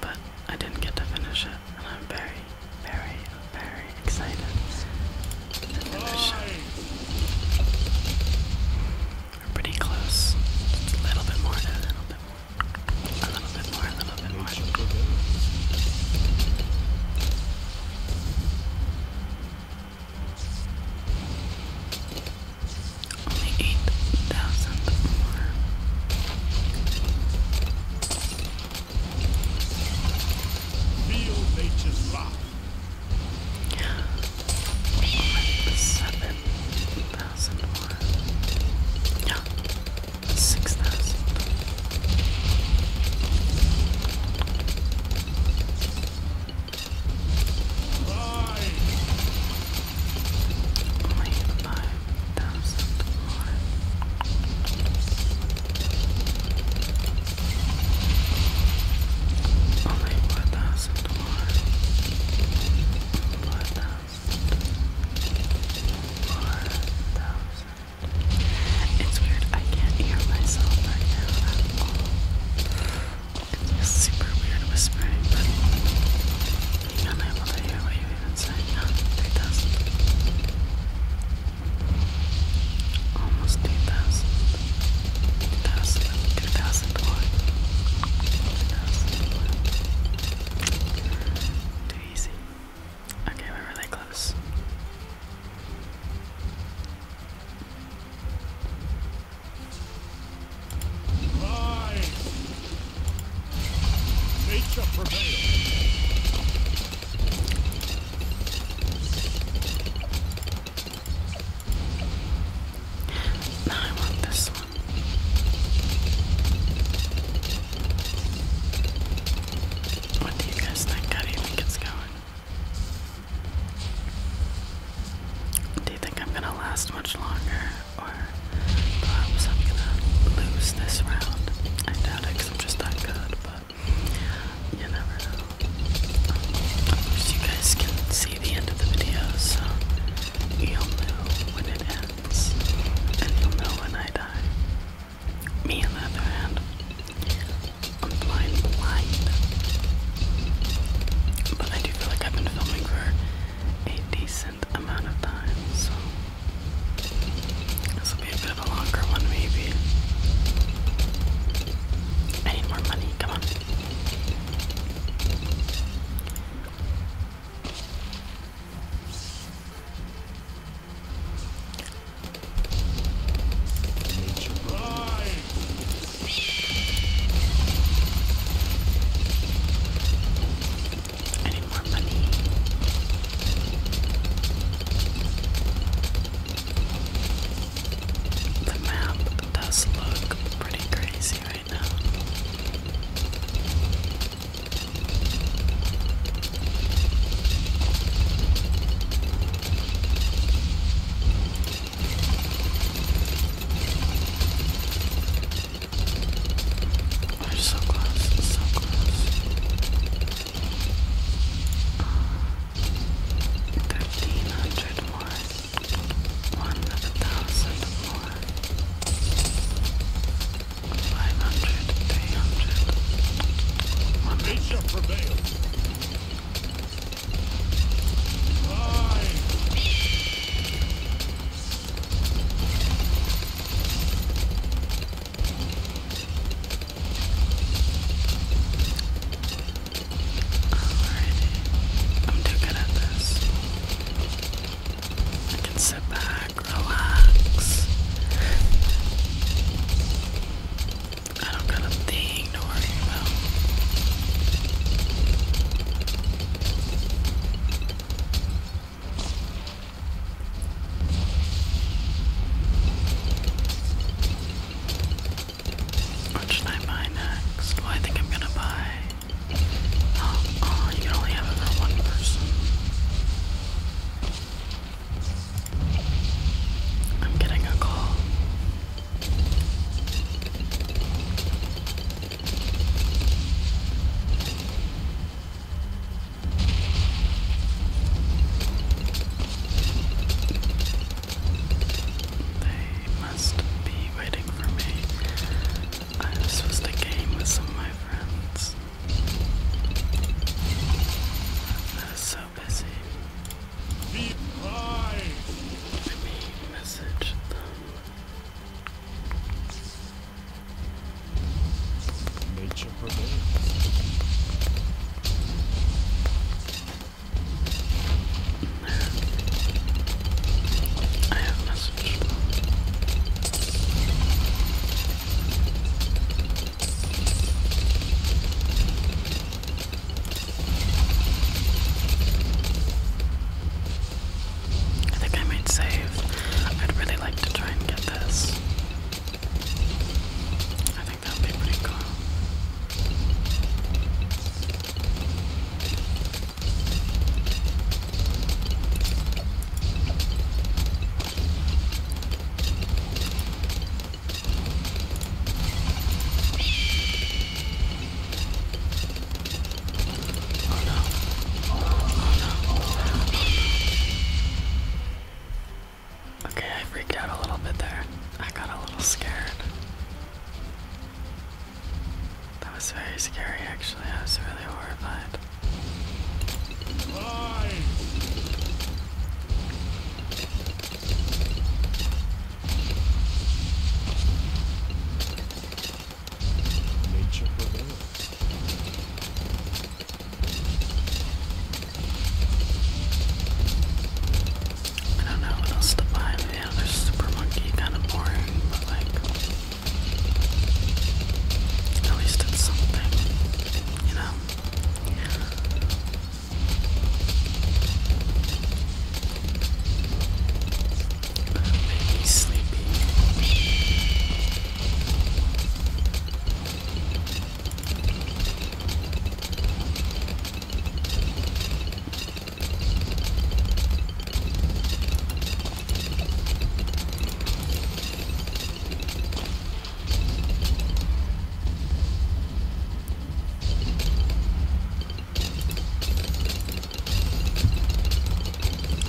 but I didn't get to finish it, and I'm very, very, very excited we're pretty close. a little bit more, a little bit more. A little bit more, a little bit more. Only 8,000 more. Feel nature's rock. Seven thousand one. Yeah. Six thousand. Only five thousand one. Only four thousand four thousand, four thousand. It's weird, I can't hear myself right now It's just super weird whispering, but I'm oh, Almost 2,000. 2,000. 2,000 support. No support. Too easy. Okay, we're really close. Rise. Nature prevails. I want this one. What do you guys think? How do you think it's going? Do you think I'm gonna last much longer, or perhaps I'm gonna lose this round? I doubt it, i I'm just that good, but you never know. Um, you guys can see the end of the video, so you'll know when it ends, and you'll know when I die. Me, on the other hand, I'm blind, blind. But I do feel like I've been filming for a decent amount of time, so this will be a bit of a longer one, maybe. I need more money, come on. I need more money. The map does look pretty crazy right now. so close, so close. Thirteen hundred more one thousand more, five hundred, three hundred, one nation prevail. Alrighty. I'm too good at this. I can sit back, relax. I don't got a thing to worry what should I buy next? Well, oh, I think I'm gonna buy. Oh, oh, you can only have it for one person. I'm getting a call. They must be waiting for me. I was supposed game with some of my friends. I so busy. Let me message them. Nature prevails. I think I might save. I'd really like to try and get this. I think that'd be pretty cool. Okay, I freaked out a little bit there. I got a little scared. That was very scary, actually. I was really horrified. I don't know what else to buy, the other super monkey kind of boring, but like at least it's something, you know. But it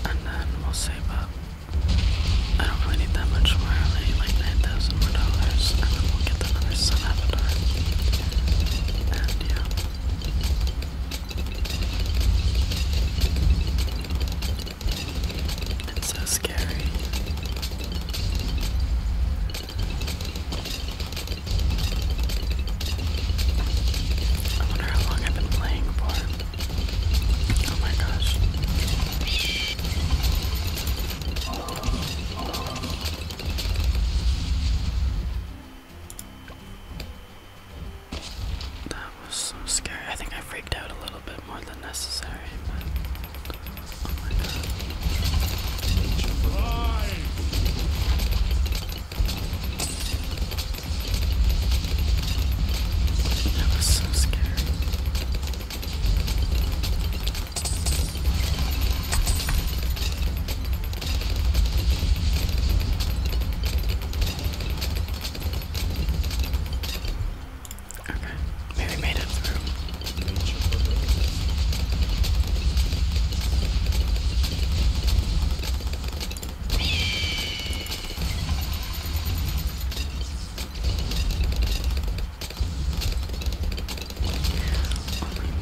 and then we'll save up. I don't really need that much more, only like 9000 more dollars, and then we'll get another sun avatar. And yeah. That's so scary. I wonder how long I've been playing for. Oh my gosh. That was so scary. I think I freaked out a little bit more than necessary, That was so scary. Okay, maybe made it through. Oh my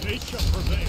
They shall prevail.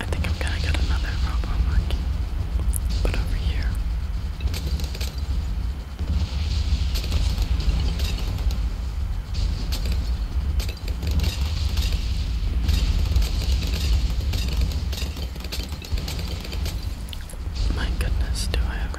I think I'm gonna get another robo monkey. But over here. My goodness, do I have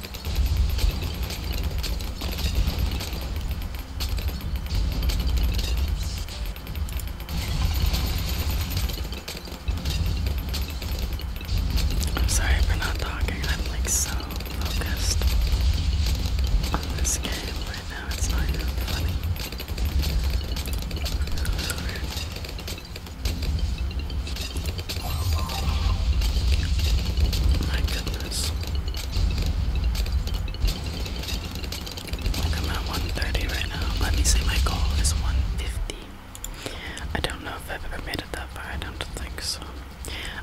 I'm sorry for not talking. I'm like so focused on this game right now. It's not even funny. My goodness. I'm at 130 right now. Let me say my goal is 150. I don't know if I've ever made it that far. I don't think so.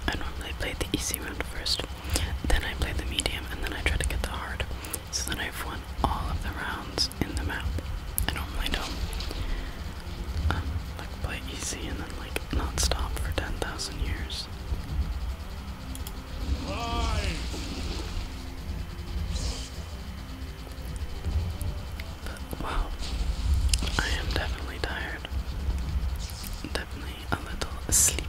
I normally play the easy round first, then I play the medium, and then I try to get the hard. So then I've won all of the rounds in the map. I normally don't um, like play easy and then like but not stopped for 10,000 years. But wow, I am definitely tired. Definitely a little sleepy.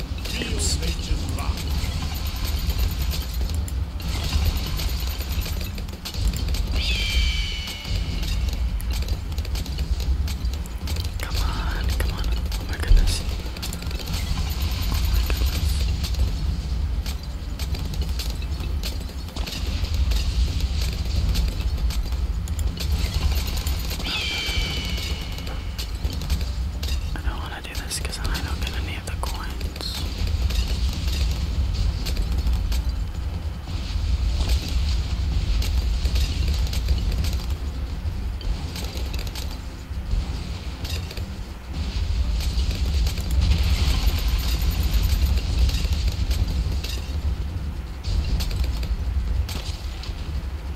Come on, come on. Oh my goodness. Oh I don't want to do this because I don't get any of the coins.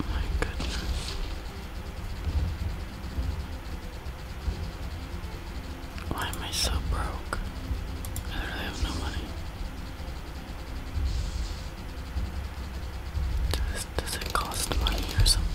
Oh my goodness. Why am I so broke? I literally have no money. Does, does it cost money or something?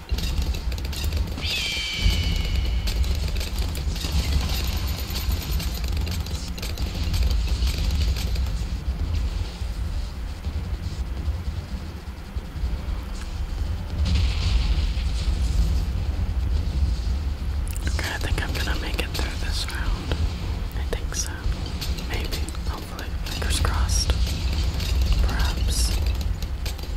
Okay, I think I'm gonna make it through this round. I think so. Maybe. Hopefully. Fingers crossed. Perhaps.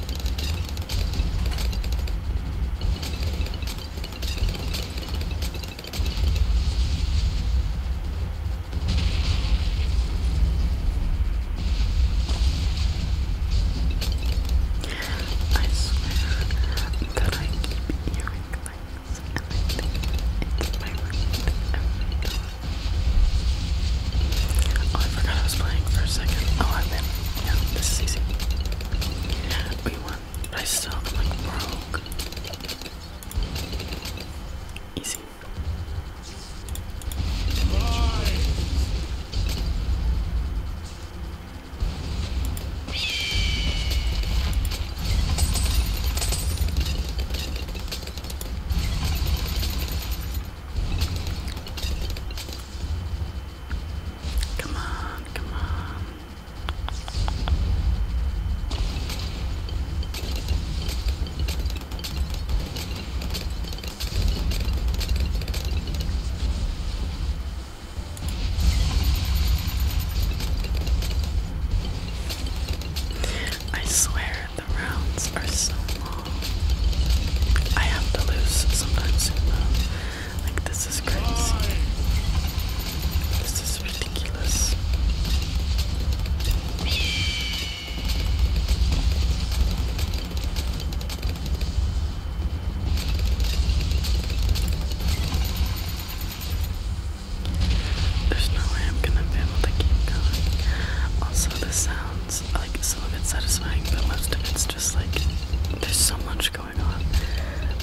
I swear I keep hearing things and I think it's my roommate I forgot I was playing for a second. Oh, I've been yeah, this is easy. We won, I still like broke. Easy. Come on, come on. I swear the rounds are so long. I have to lose sometimes like this is crazy. This is ridiculous. There's no way I'm gonna be able to keep going. Also, the sounds like some of it's satisfying, but most of it's just like there's so much going on.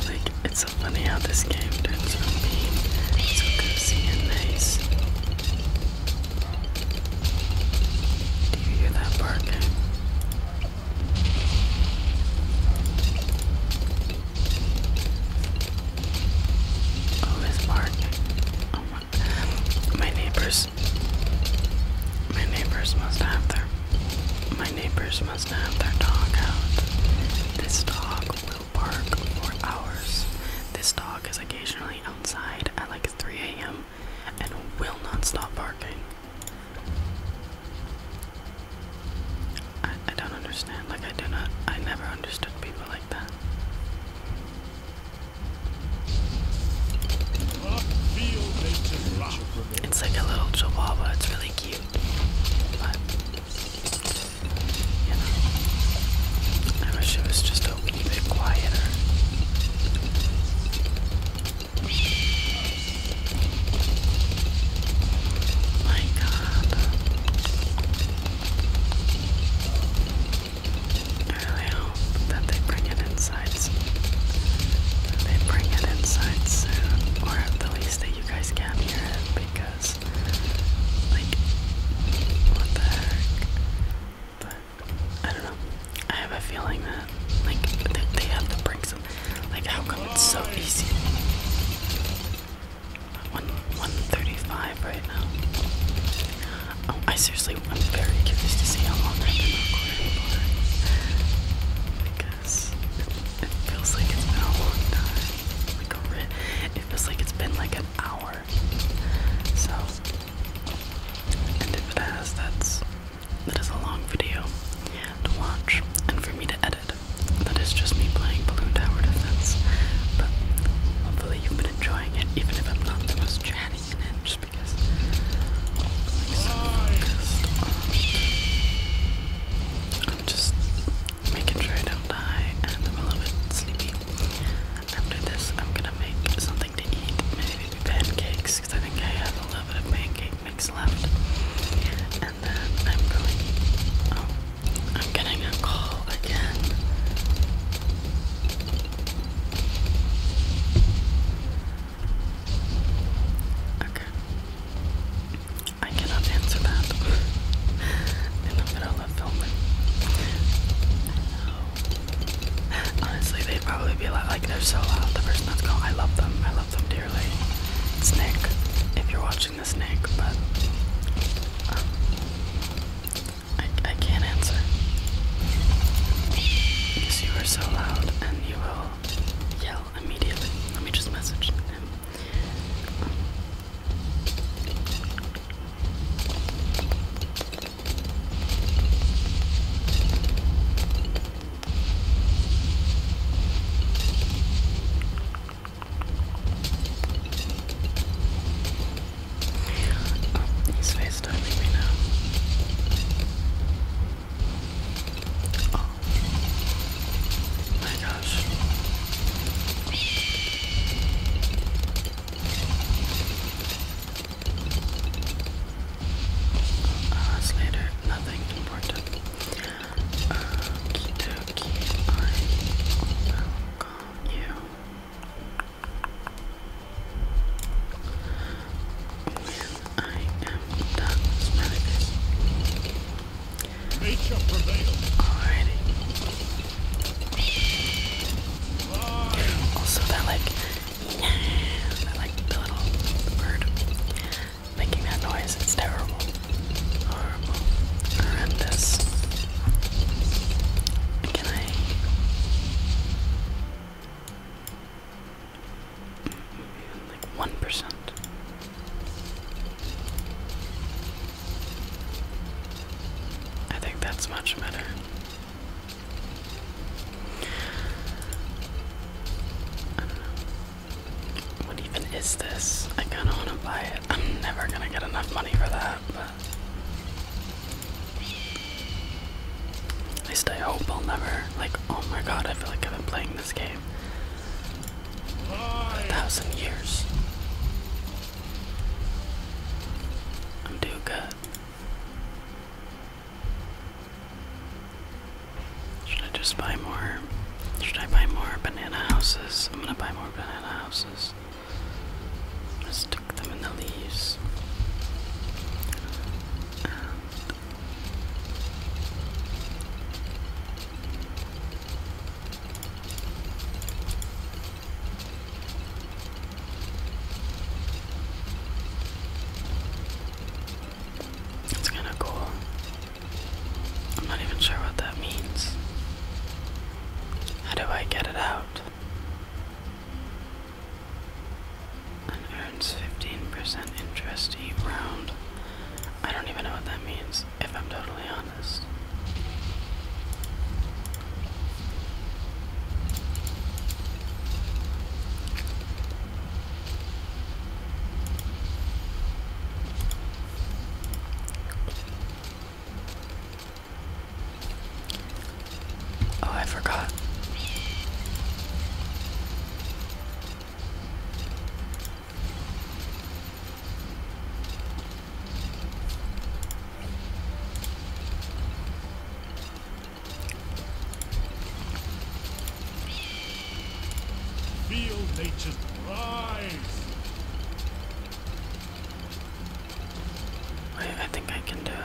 Like it's so funny how this game turns from being so cozy and nice. Do you hear that barking? Oh, it's barking. Oh my. My neighbors my neighbors must have their my neighbors must have their dog out. This dog will bark for hours. This dog is occasionally outside at like 3 a.m. and will not stop barking. I, I don't understand. Like I do not I never understood people like that. It's like a little chihuahua. It's really cute. But, you know, I wish it was just a wee bit quieter. My God. I really that they bring it inside. They bring it inside soon, or at the least that you guys can hear it because, like, what the heck? But I don't know. I have a feeling that, like, they, have to bring some. Like, how come it's so easy? One, 135 right now. Oh, I seriously I'm very curious to see how long I've been recording because it, feels like it's been a long time. Like a it feels like it's been like an hour. So, and if it has, that's that is a long video to watch and for me to edit. That is just me playing Balloon Tower Defense. But hopefully you've been enjoying it, even if I'm not the most chatty I'm, just making sure I do die and I'm a little bit sleepy. After this, I'm gonna make something to eat, maybe pancakes, because I think I have a little bit of pancake mix left. And then I'm going. Oh, I'm getting a call again. Okay. I cannot answer that in the middle of filming. Honestly, they'd probably be like, like, they're so loud. The person that's going, I love them. I love them dearly. It's Nick, if you're watching this, Nick, but um, I, I can't answer. Because you are so loud and you will will yell immediately. Let me just message him. Oh, he's FaceTiming me now. Oh my gosh. Hours later, nothing important. Okie uh, dokie, I will call you when I am done smelling this. Nature prevails. Alrighty. Also that like that like little bird making that noise, it's terrible. Horrible. Horrendous. Can I one percent. I think that's much better. What even is this? I kind of want to buy it. I'm never gonna get enough money for that, but at least I hope I'll never, like, oh my god, I feel like I've been playing this game a thousand years. I'm doing good. Should I just buy more? Should I buy more banana houses? I'm gonna buy more banana houses. let stick them in the leaves. It's kind of cool. I'm not even sure what that means. How do I get it out? and earns 15% interest each round. I don't even know what that means, if I'm totally honest. Oh, I forgot. Feel nature's rise. I think I can do it.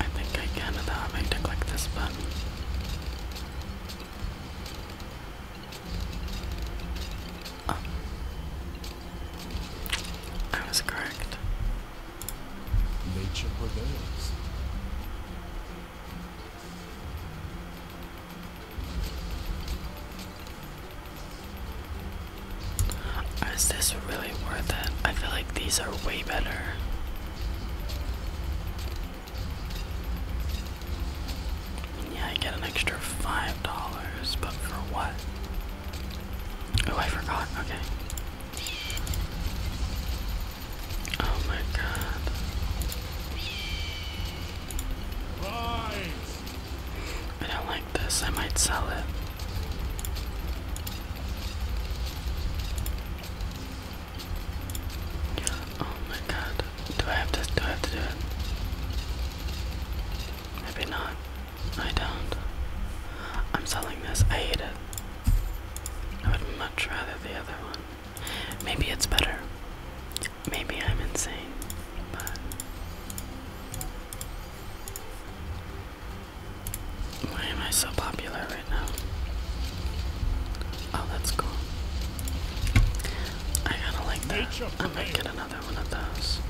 I think I can without uh, having to click this button. Oh. I was correct. Nature prevails. Is this really worth it? I feel like these are way better. Yeah, I get an extra five dollars, but for what? Oh, I forgot. Okay. Oh my god. I don't like this. I might sell it. Oh my god. Do I have to do I have to do it? Maybe not. I don't. I'm selling this. I hate it. I would much rather the other one. Maybe it's better. Maybe I'm insane, but why am I so popular right now? Oh, that's cool. I gotta like that. I might get another one of those.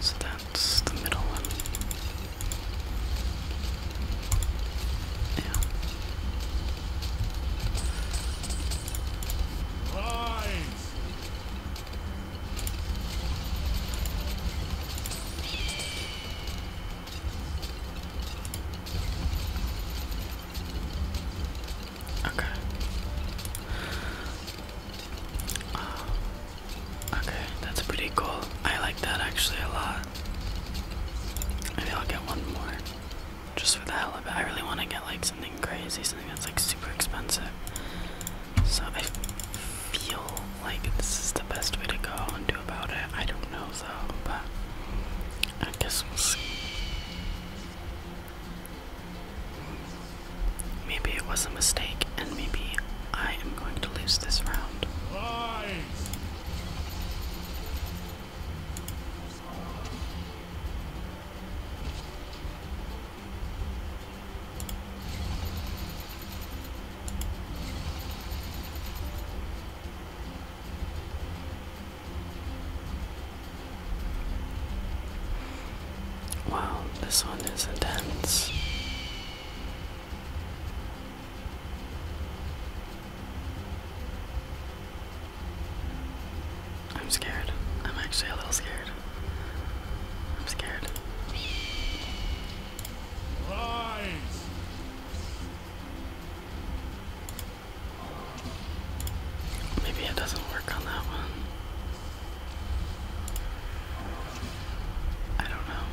So that's the middle one. Yeah. Rise. Okay. Uh, okay, that's pretty cool. I like that actually a lot. Maybe I'll get one more. Just for the hell of it. I really want to get like something crazy, something that's like super expensive. So I feel like this is the best way to go and do about it. I don't know though, but I guess we'll see. Maybe it was a mistake, and maybe I am going to lose this round. Wow, this one is intense. I'm scared. I'm actually a little scared. I'm scared. Maybe it doesn't work on that one. I don't know.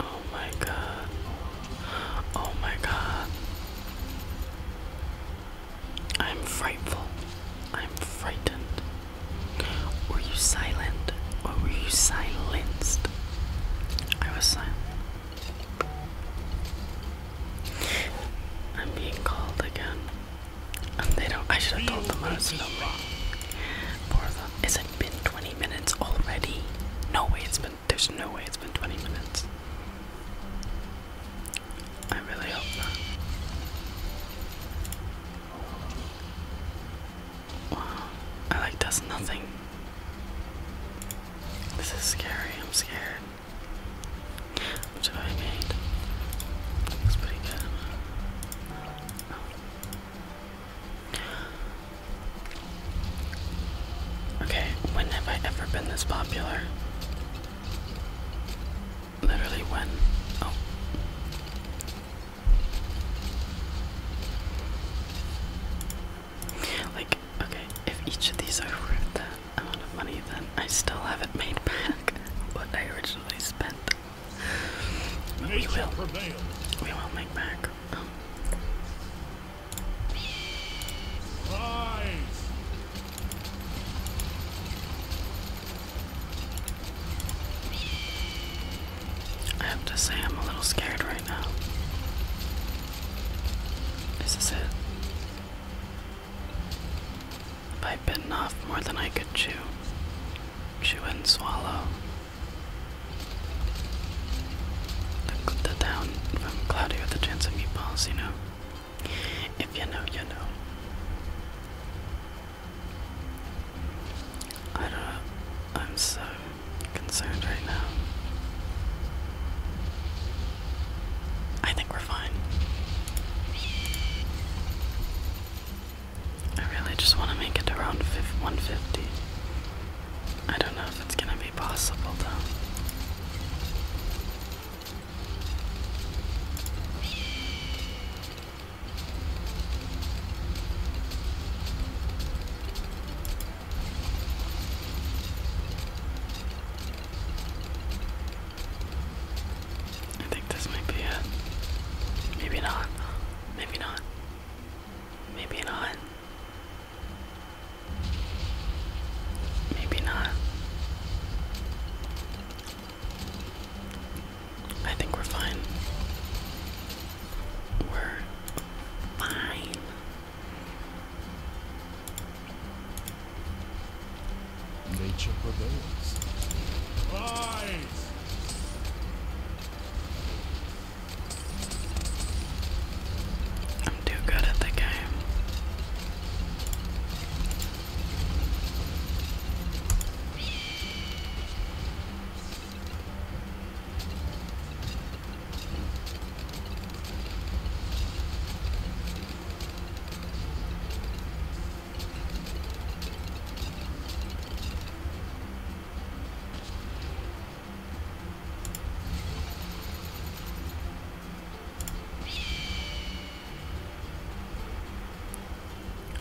Oh my god. Oh my god. I'm frightful. I'm frightened. Were you silent? Or were you silenced? I was silent. I'm being called again. they don't I should have told them I was filming. Poor Is it been 20 minutes already. No way it's been, there's no way it's been 20 minutes. I really hope not. Wow, I like that's nothing. This is scary, I'm scared. What have I made? Looks pretty good. Okay, when have I ever been this popular? Literally when? Oh. Like, okay, if each of these are worth that amount of money, then I still haven't made back what I originally spent. we will. We will make back. I have to say, I'm a little scared right now. This Is it? I've bitten off more than I could chew, chew and swallow, the down from Claudio with a chance of meatballs, you know. If you know, you know. I don't know. I'm so concerned right now. I think we're fine. I really just want to make it to around 150. I don't know if it's gonna be possible though. I think this might be it. Maybe not. Maybe not. Maybe not. Maybe not. I think we're fine. We're fine. Nature prevails. Rise! I'm too good at the game.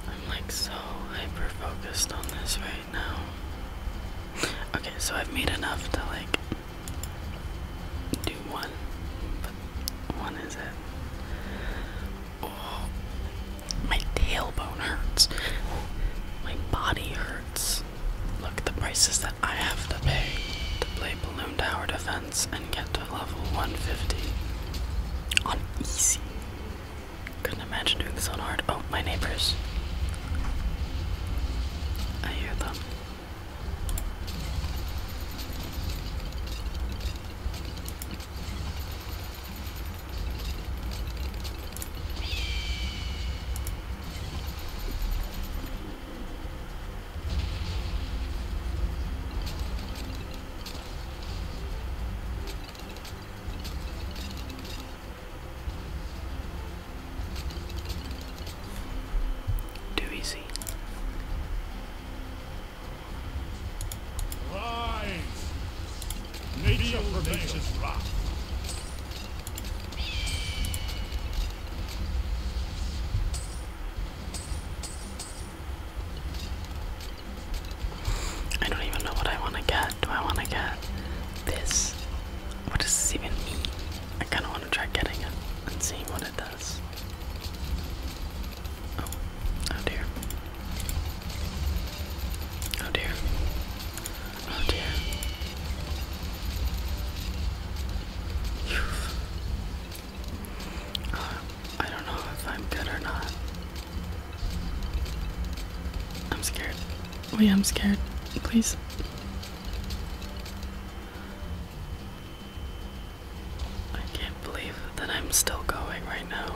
I'm like so hyper focused on this right now. Okay, so I've made enough to like do one, but one is it. Oh, my tailbone hurts. My body hurts. Look at the prices that I have to pay to play Balloon Tower Defense and get to level 150 on easy. Couldn't imagine doing this on hard. Oh, my neighbors. I hear them. Too easy. Rise. Nature remains rock. I don't even know what I want to get. Do I want to get this? What does this even mean? I kind of want to try getting it and seeing what it does. oh, oh dear. Oh dear. Oh dear. I don't know if I'm good or not. I'm scared. Wait, oh, I'm scared. Please. I can't believe that I'm still going right now.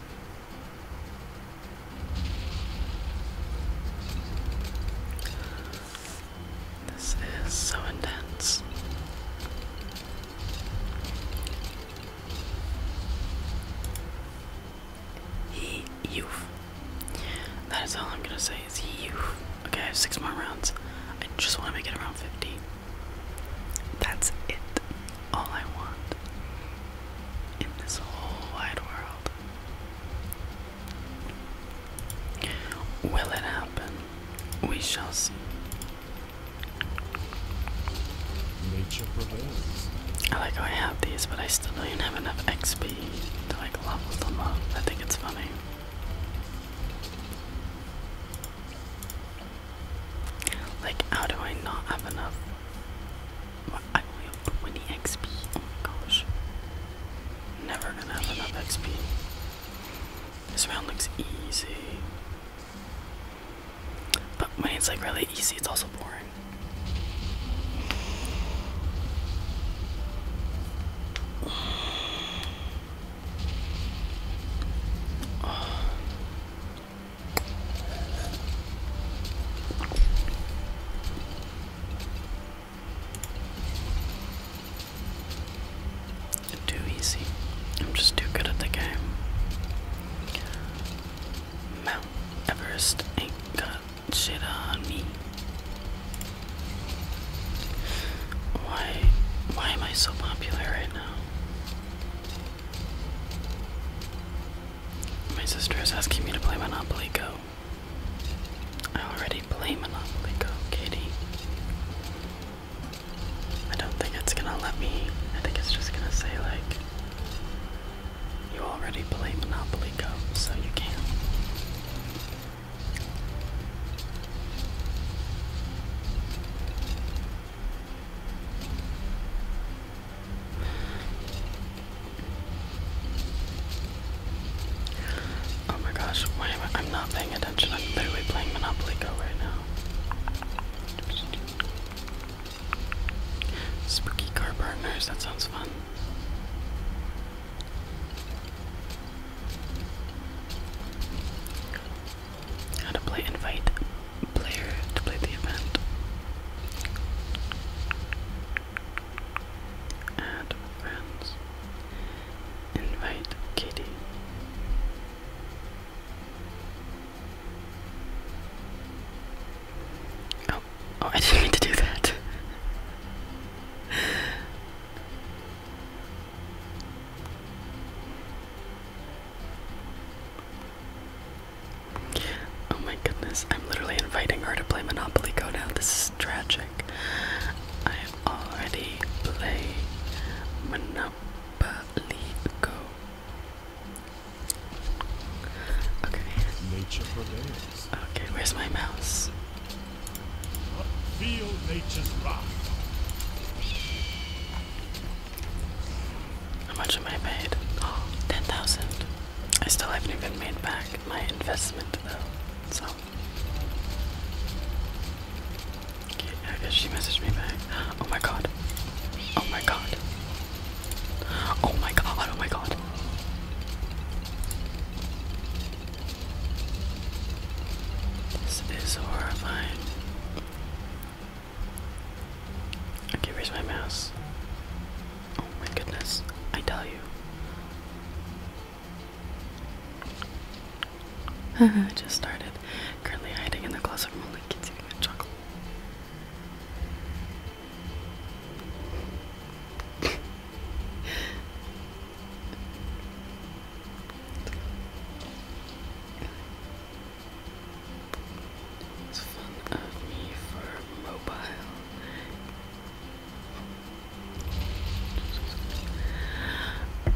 This is so intense. He youth. That is all I'm gonna say is he youth. Okay, I have six more rounds. I just wanna make it around fifty. That's it all I want in this whole wide world. Will it happen? We shall see. Nature prevails. I like how I have these, but I still don't even have enough XP to like level them up. I think it's funny. Like, how do I not have enough? I only have 20 XP. Oh my gosh. Never gonna have enough XP. This round looks easy. But when it's like really easy, it's also boring. Too easy. I'm just too good at the game. Mount Everest ain't got shit on me. Why why am I so popular right now? My sister is asking me to play Monopoly Go. I already play Monopoly Go, Katie. I don't think it's gonna let me. I think it's just gonna say, like, you already play Monopoly Go, so you can't. Oh my gosh, wait I'm not paying attention. I'm literally playing Monopoly Go right now. Spooky car partners, that sounds fun. How to play invite player to play the event. Add friends. Invite Katie. Oh, oh, I didn't mean to do that. Oh my goodness, I'm literally inviting her to play Monopoly Go now. This is tragic. i am already playing Monopoly Go. Okay. Nature prevails. Okay, where's my mouse? Feel nature's rock. How much am I paid? Oh, 10,000. I still haven't even made back my investment though, so. I guess she messaged me back. Oh my god. Oh my god. Oh my god, oh my god. This is horrifying. I can't raise my mouse? Oh my goodness, I tell you. I just started. Currently hiding in the closet only kids eating a chocolate. It's fun of me for mobile.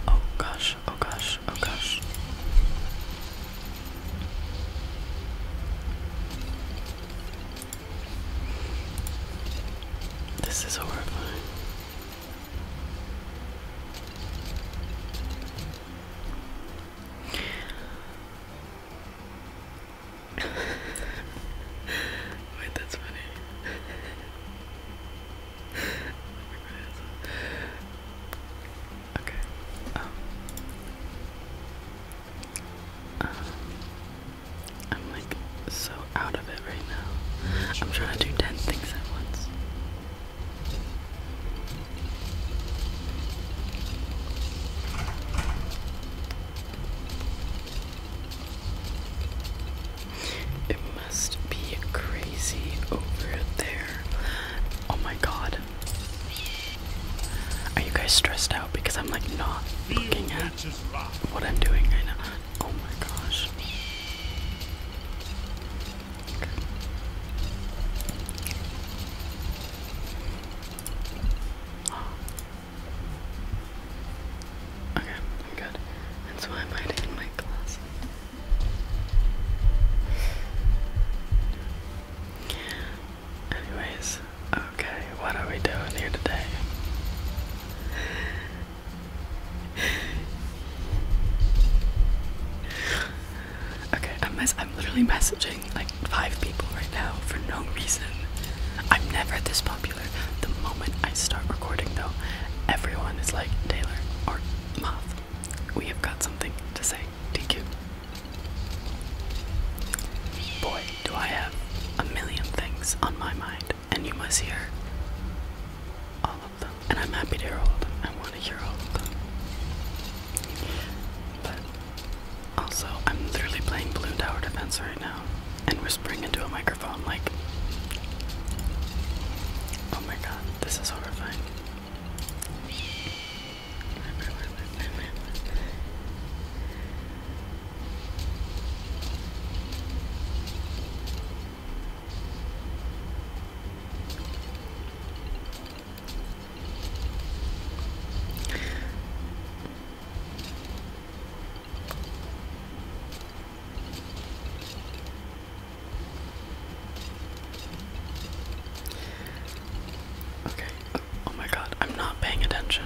Oh gosh, oh gosh, oh gosh. This is horrifying. Wait, that's funny. okay. Um, I'm like so out of it right now. I'm trying to do ten things at once. It must be crazy over there. Oh my god. Are you guys stressed out? Because I'm like not looking at what I'm doing right now. Oh my gosh. Okay, good. That's why I'm hiding in my glass. Anyways, okay, what are we doing here today? Okay, I'm literally messaging like five people right now for no reason. I'm never this popular. The moment I start recording though, everyone is like Taylor or Moth. We have got something to say. DQ. Boy, do I have a million things on my mind, and you must hear all of them. And I'm happy to hear all also, I'm literally playing Balloon Tower Defense right now and whispering into a microphone like, oh my god, this is horrifying. Okay. Oh my god, I'm not paying attention.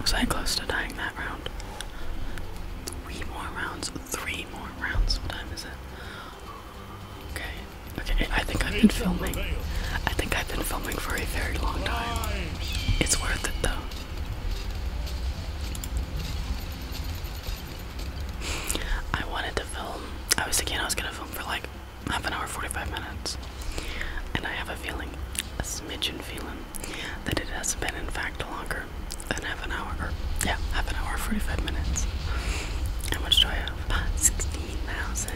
Was I close to dying that round? Three more rounds. Three more rounds. What time is it? Okay. Okay, I think I've been filming. I think I've been filming for a very long time. It's worth it though. I wanted to film. I was thinking I was gonna film for like half an hour, 45 minutes. And I have a feeling, a smidgen feeling, that it has been in fact longer than half an hour. Or, yeah, half an hour, 45 minutes. How much do I have? about 16,000.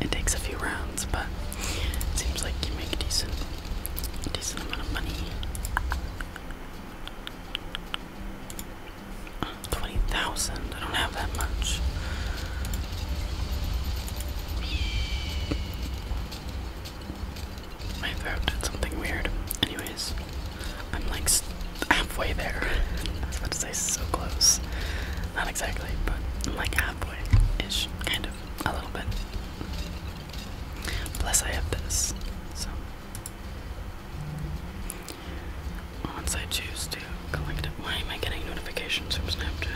It takes a few rounds, but it seems like you make a decent, decent amount of money. 20,000, I don't have that much. My throat did something weird. Anyways, I'm like halfway there. about to say so close. Not exactly, but I'm like halfway ish, kind of, a little bit. Plus, I have this, so. Once I choose to collect it, why am I getting notifications from Snapchat?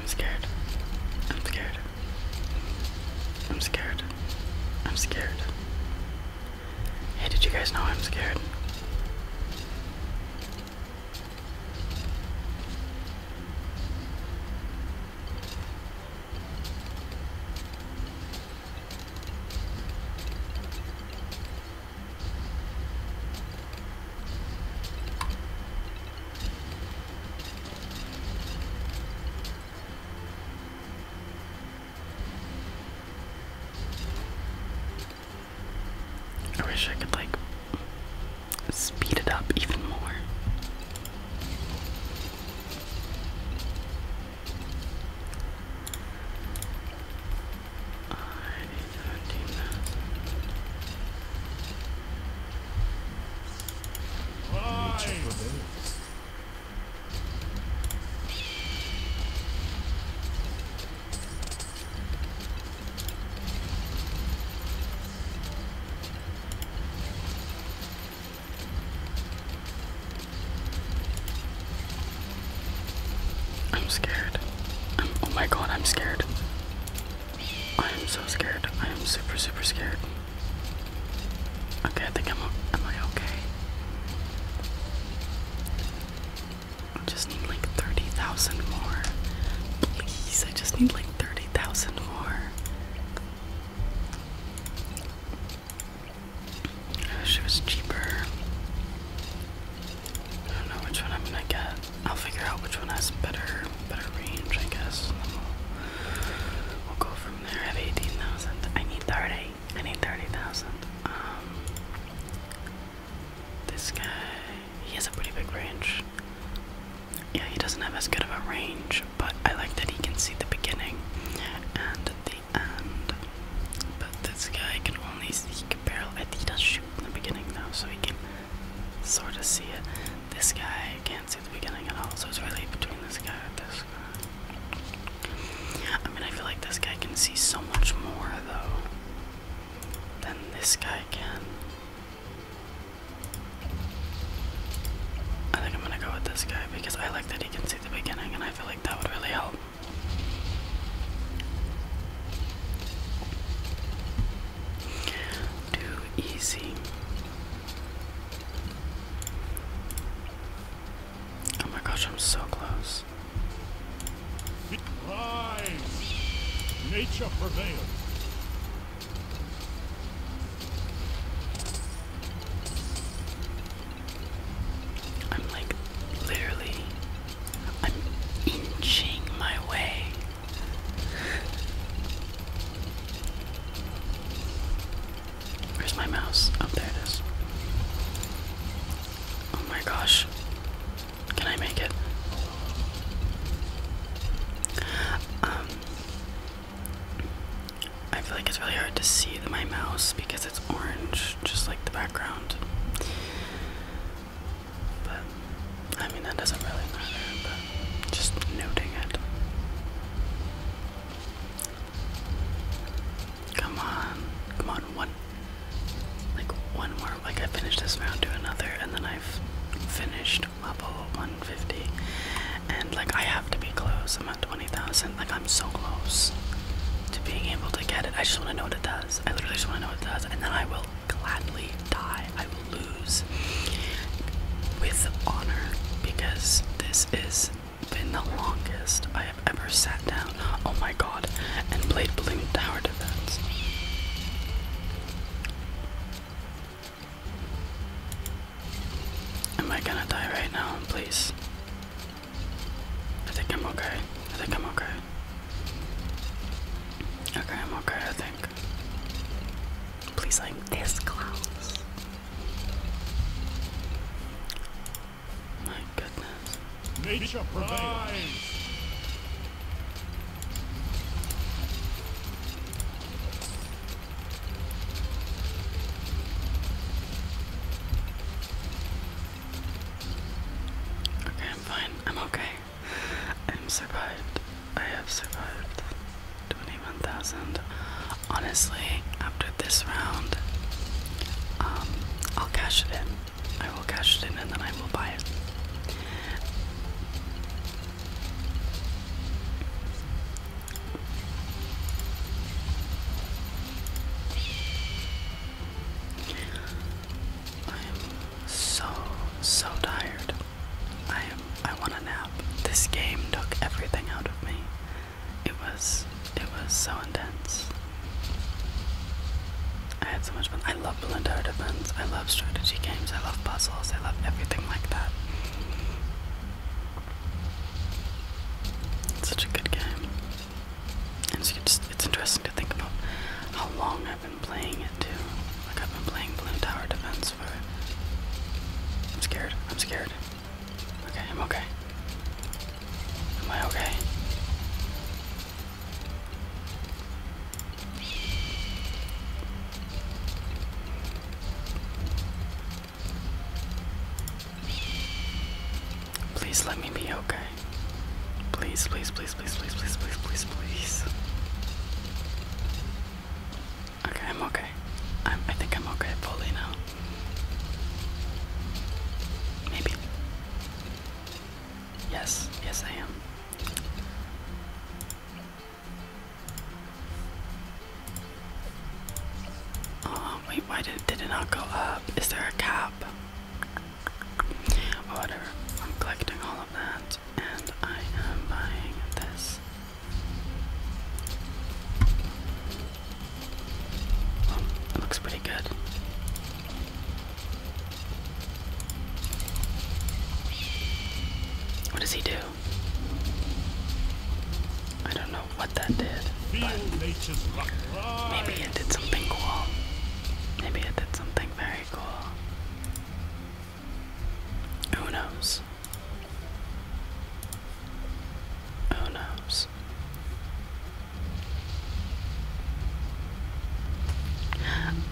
I'm scared. I'm scared. I'm scared. I'm scared. Hey, did you guys know I'm scared? I wish I could like speed it up even more. I'm scared. I'm, oh my god, I'm scared. I am so scared. I am super, super scared. Okay, I think I'm, am I okay? I just need like 30,000 more. Please, I just need like 30,000 more. I wish it was cheaper. I don't know which one I'm gonna get. I'll figure out which one has better better range, I guess. We'll, go from there. I have 18,000. I need 30. I need 30,000. Um, this guy, he has a pretty big range. Yeah, he doesn't have as good of a range, but I like that he can see the beginning and the end. But this guy can only see, he can barely, he does shoot in the beginning now, so he can sort of see it. This guy can't see the beginning at all, so it's really between this guy and this I mean, I feel like this guy can see so much more, though, than this guy can. I think I'm gonna go with this guy because I like that he can see the beginning, and I feel like that would really help. Too easy. Oh my gosh, I'm so close. Rise. Nature prevails. I'm like literally I'm inching my way. Where's my mouse? Up oh, there it is. Oh my gosh. Can I make it? Um I feel like it's really hard to see my mouse because it's orange, just like the background. But I mean that doesn't really matter, just noting it. Come on. Come on, one. Like, one more. Like, I finished this round do another, and then I've finished level 150. And, like, I have to be close. I'm at 20,000. Like, I'm so close to being able to get it. I just want to know what it does. I literally just want to know what it does. And then I will gladly die. I will lose with honor because this is been the longest I have ever sat down, oh my god, and played Balloon Tower Defense. Am I gonna die right now, please? I think I'm okay. I think I'm okay. Okay, I'm okay, I think. Please, like this close. My goodness. Nature prevails. Okay, I'm fine. I'm okay. I'm survived. I have survived. 21,000. Honestly, after this round, um, I'll cash it in. I will cash it in and then I will buy it. I am so so tired. I am I want a nap. This game took everything out of me it was it was so intense. I had so much fun. I love balloon tower defense. I love strategy games. I love puzzles. I love everything like that. It's such a good game. it's interesting to think about how long I've been playing it too. Like I've been playing balloon tower defense for. I'm scared. I'm scared. Okay, I'm okay. Am I okay? Please let me be okay. Please, please, please, please, please, please, please, please, please. Okay, I'm okay. I'm, I think I'm okay fully now. Maybe. Yes, yes, I am. Oh, wait, why did, did it not go up? Is there a cap? Oh, I'm collecting all of that and I am buying this. Oh, it looks pretty good. What does he do? I don't know what that did, but maybe it did something cool. Maybe it did something very cool. Who knows? Who knows?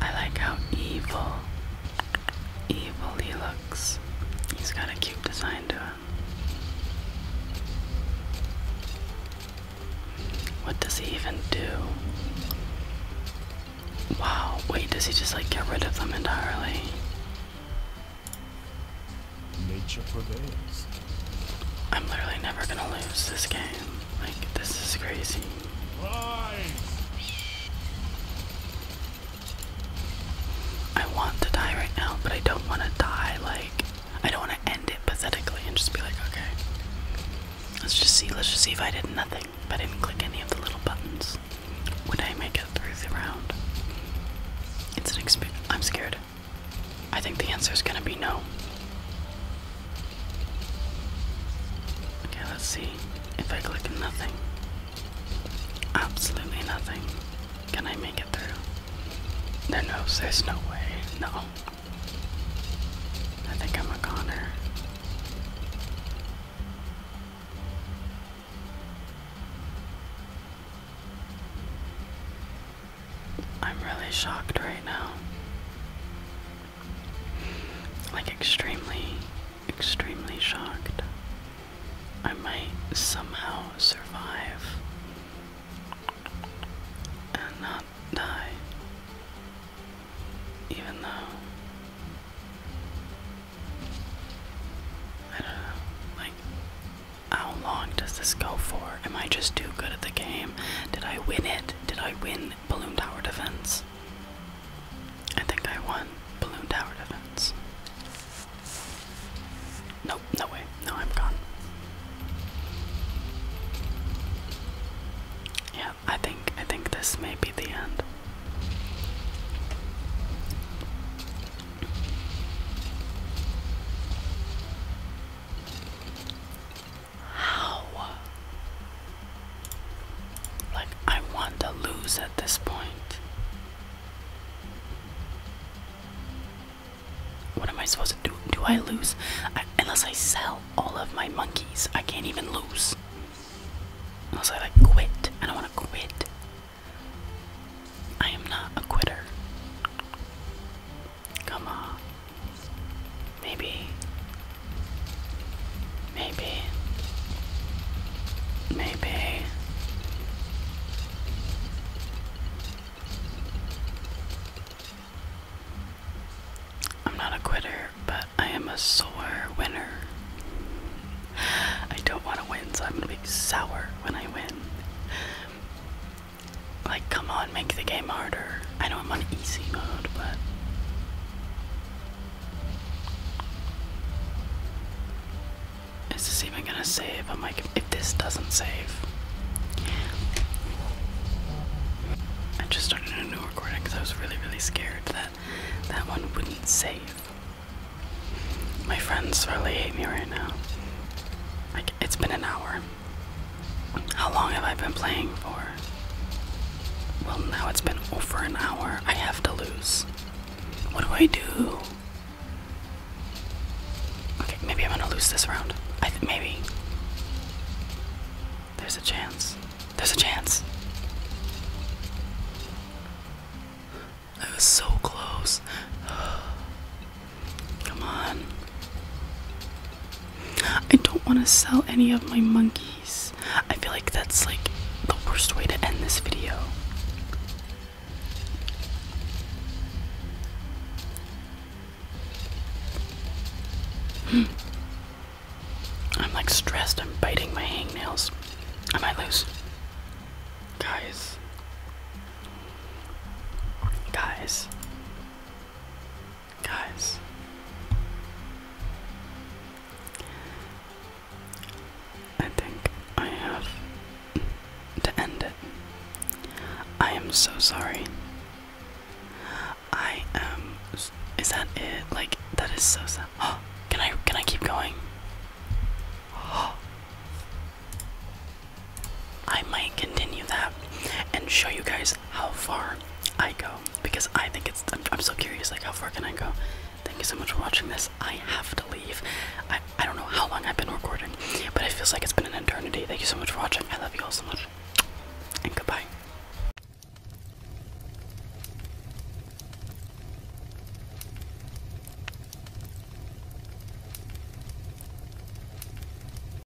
I like how evil, evil he looks. He's got a cute design to him. What does he even do? Wow, wait, does he just like get rid of them entirely? Nature prevails. I'm literally never gonna lose this game. Like, this is crazy. I want to die right now, but I don't want to die. Like, I don't want to end it pathetically and just be like, okay, let's just see. Let's just see if I did nothing, I didn't click any of the little buttons. Would I make it through the round? It's an experience. I'm scared. I think the answer is going to be no. Okay, let's see if I click nothing. Absolutely nothing. Can I make it through? no, there's no way. No. I think I'm a goner. I'm really shocked right now. Like, extremely, extremely shocked. I might somehow survive and not die, even though I don't know. Like, how long does this go for? am I just too good at the game? Did I win it? Did I win Balloon Tower Defense? I think I won Balloon Tower Defense. Nope, no way. No, I'm gone. Yeah, I think I think this may be the end. How? Like, I want to lose at this point. What am I supposed to do? Do I lose? unless I sell all of my monkeys, I can't even lose. Unless I like quit. I don't want to quit. I am not a quitter. Come on. Maybe. Maybe. Maybe. I'm not a quitter, but I am a sore winner. I don't want to win, so I'm going to be sour when I win. Like, come on, make the game harder. I know I'm on easy mode, but. Is this even gonna save? I'm like, if this doesn't save. I just started a new recording because I was really, really scared that that one wouldn't save. My friends really hate me right now. Like, it's been an hour. How long have I been playing for? Well, now it's been over an hour. I have to lose. What do I do? Okay, maybe I'm gonna lose this round. I th maybe. There's a chance. There's a chance. I was so close. Come on. I don't want to sell any of my monkeys. I feel like that's like the worst way to end this video. Hmm. I'm like stressed. I'm biting my hangnails. I might lose. Guys. Guys. Guys, I think I have to end it. I am so sorry. I am. Is that it? Like that is so sad. can I? Can I keep going? I might continue that and show you guys how far I go because I think it's. I'm, so curious, like, how far can I go? Thank you so much for watching this. I have to leave. I, I don't know how long I've been recording, but it feels like it's been an eternity. Thank you so much for watching. I love you all so much. And goodbye.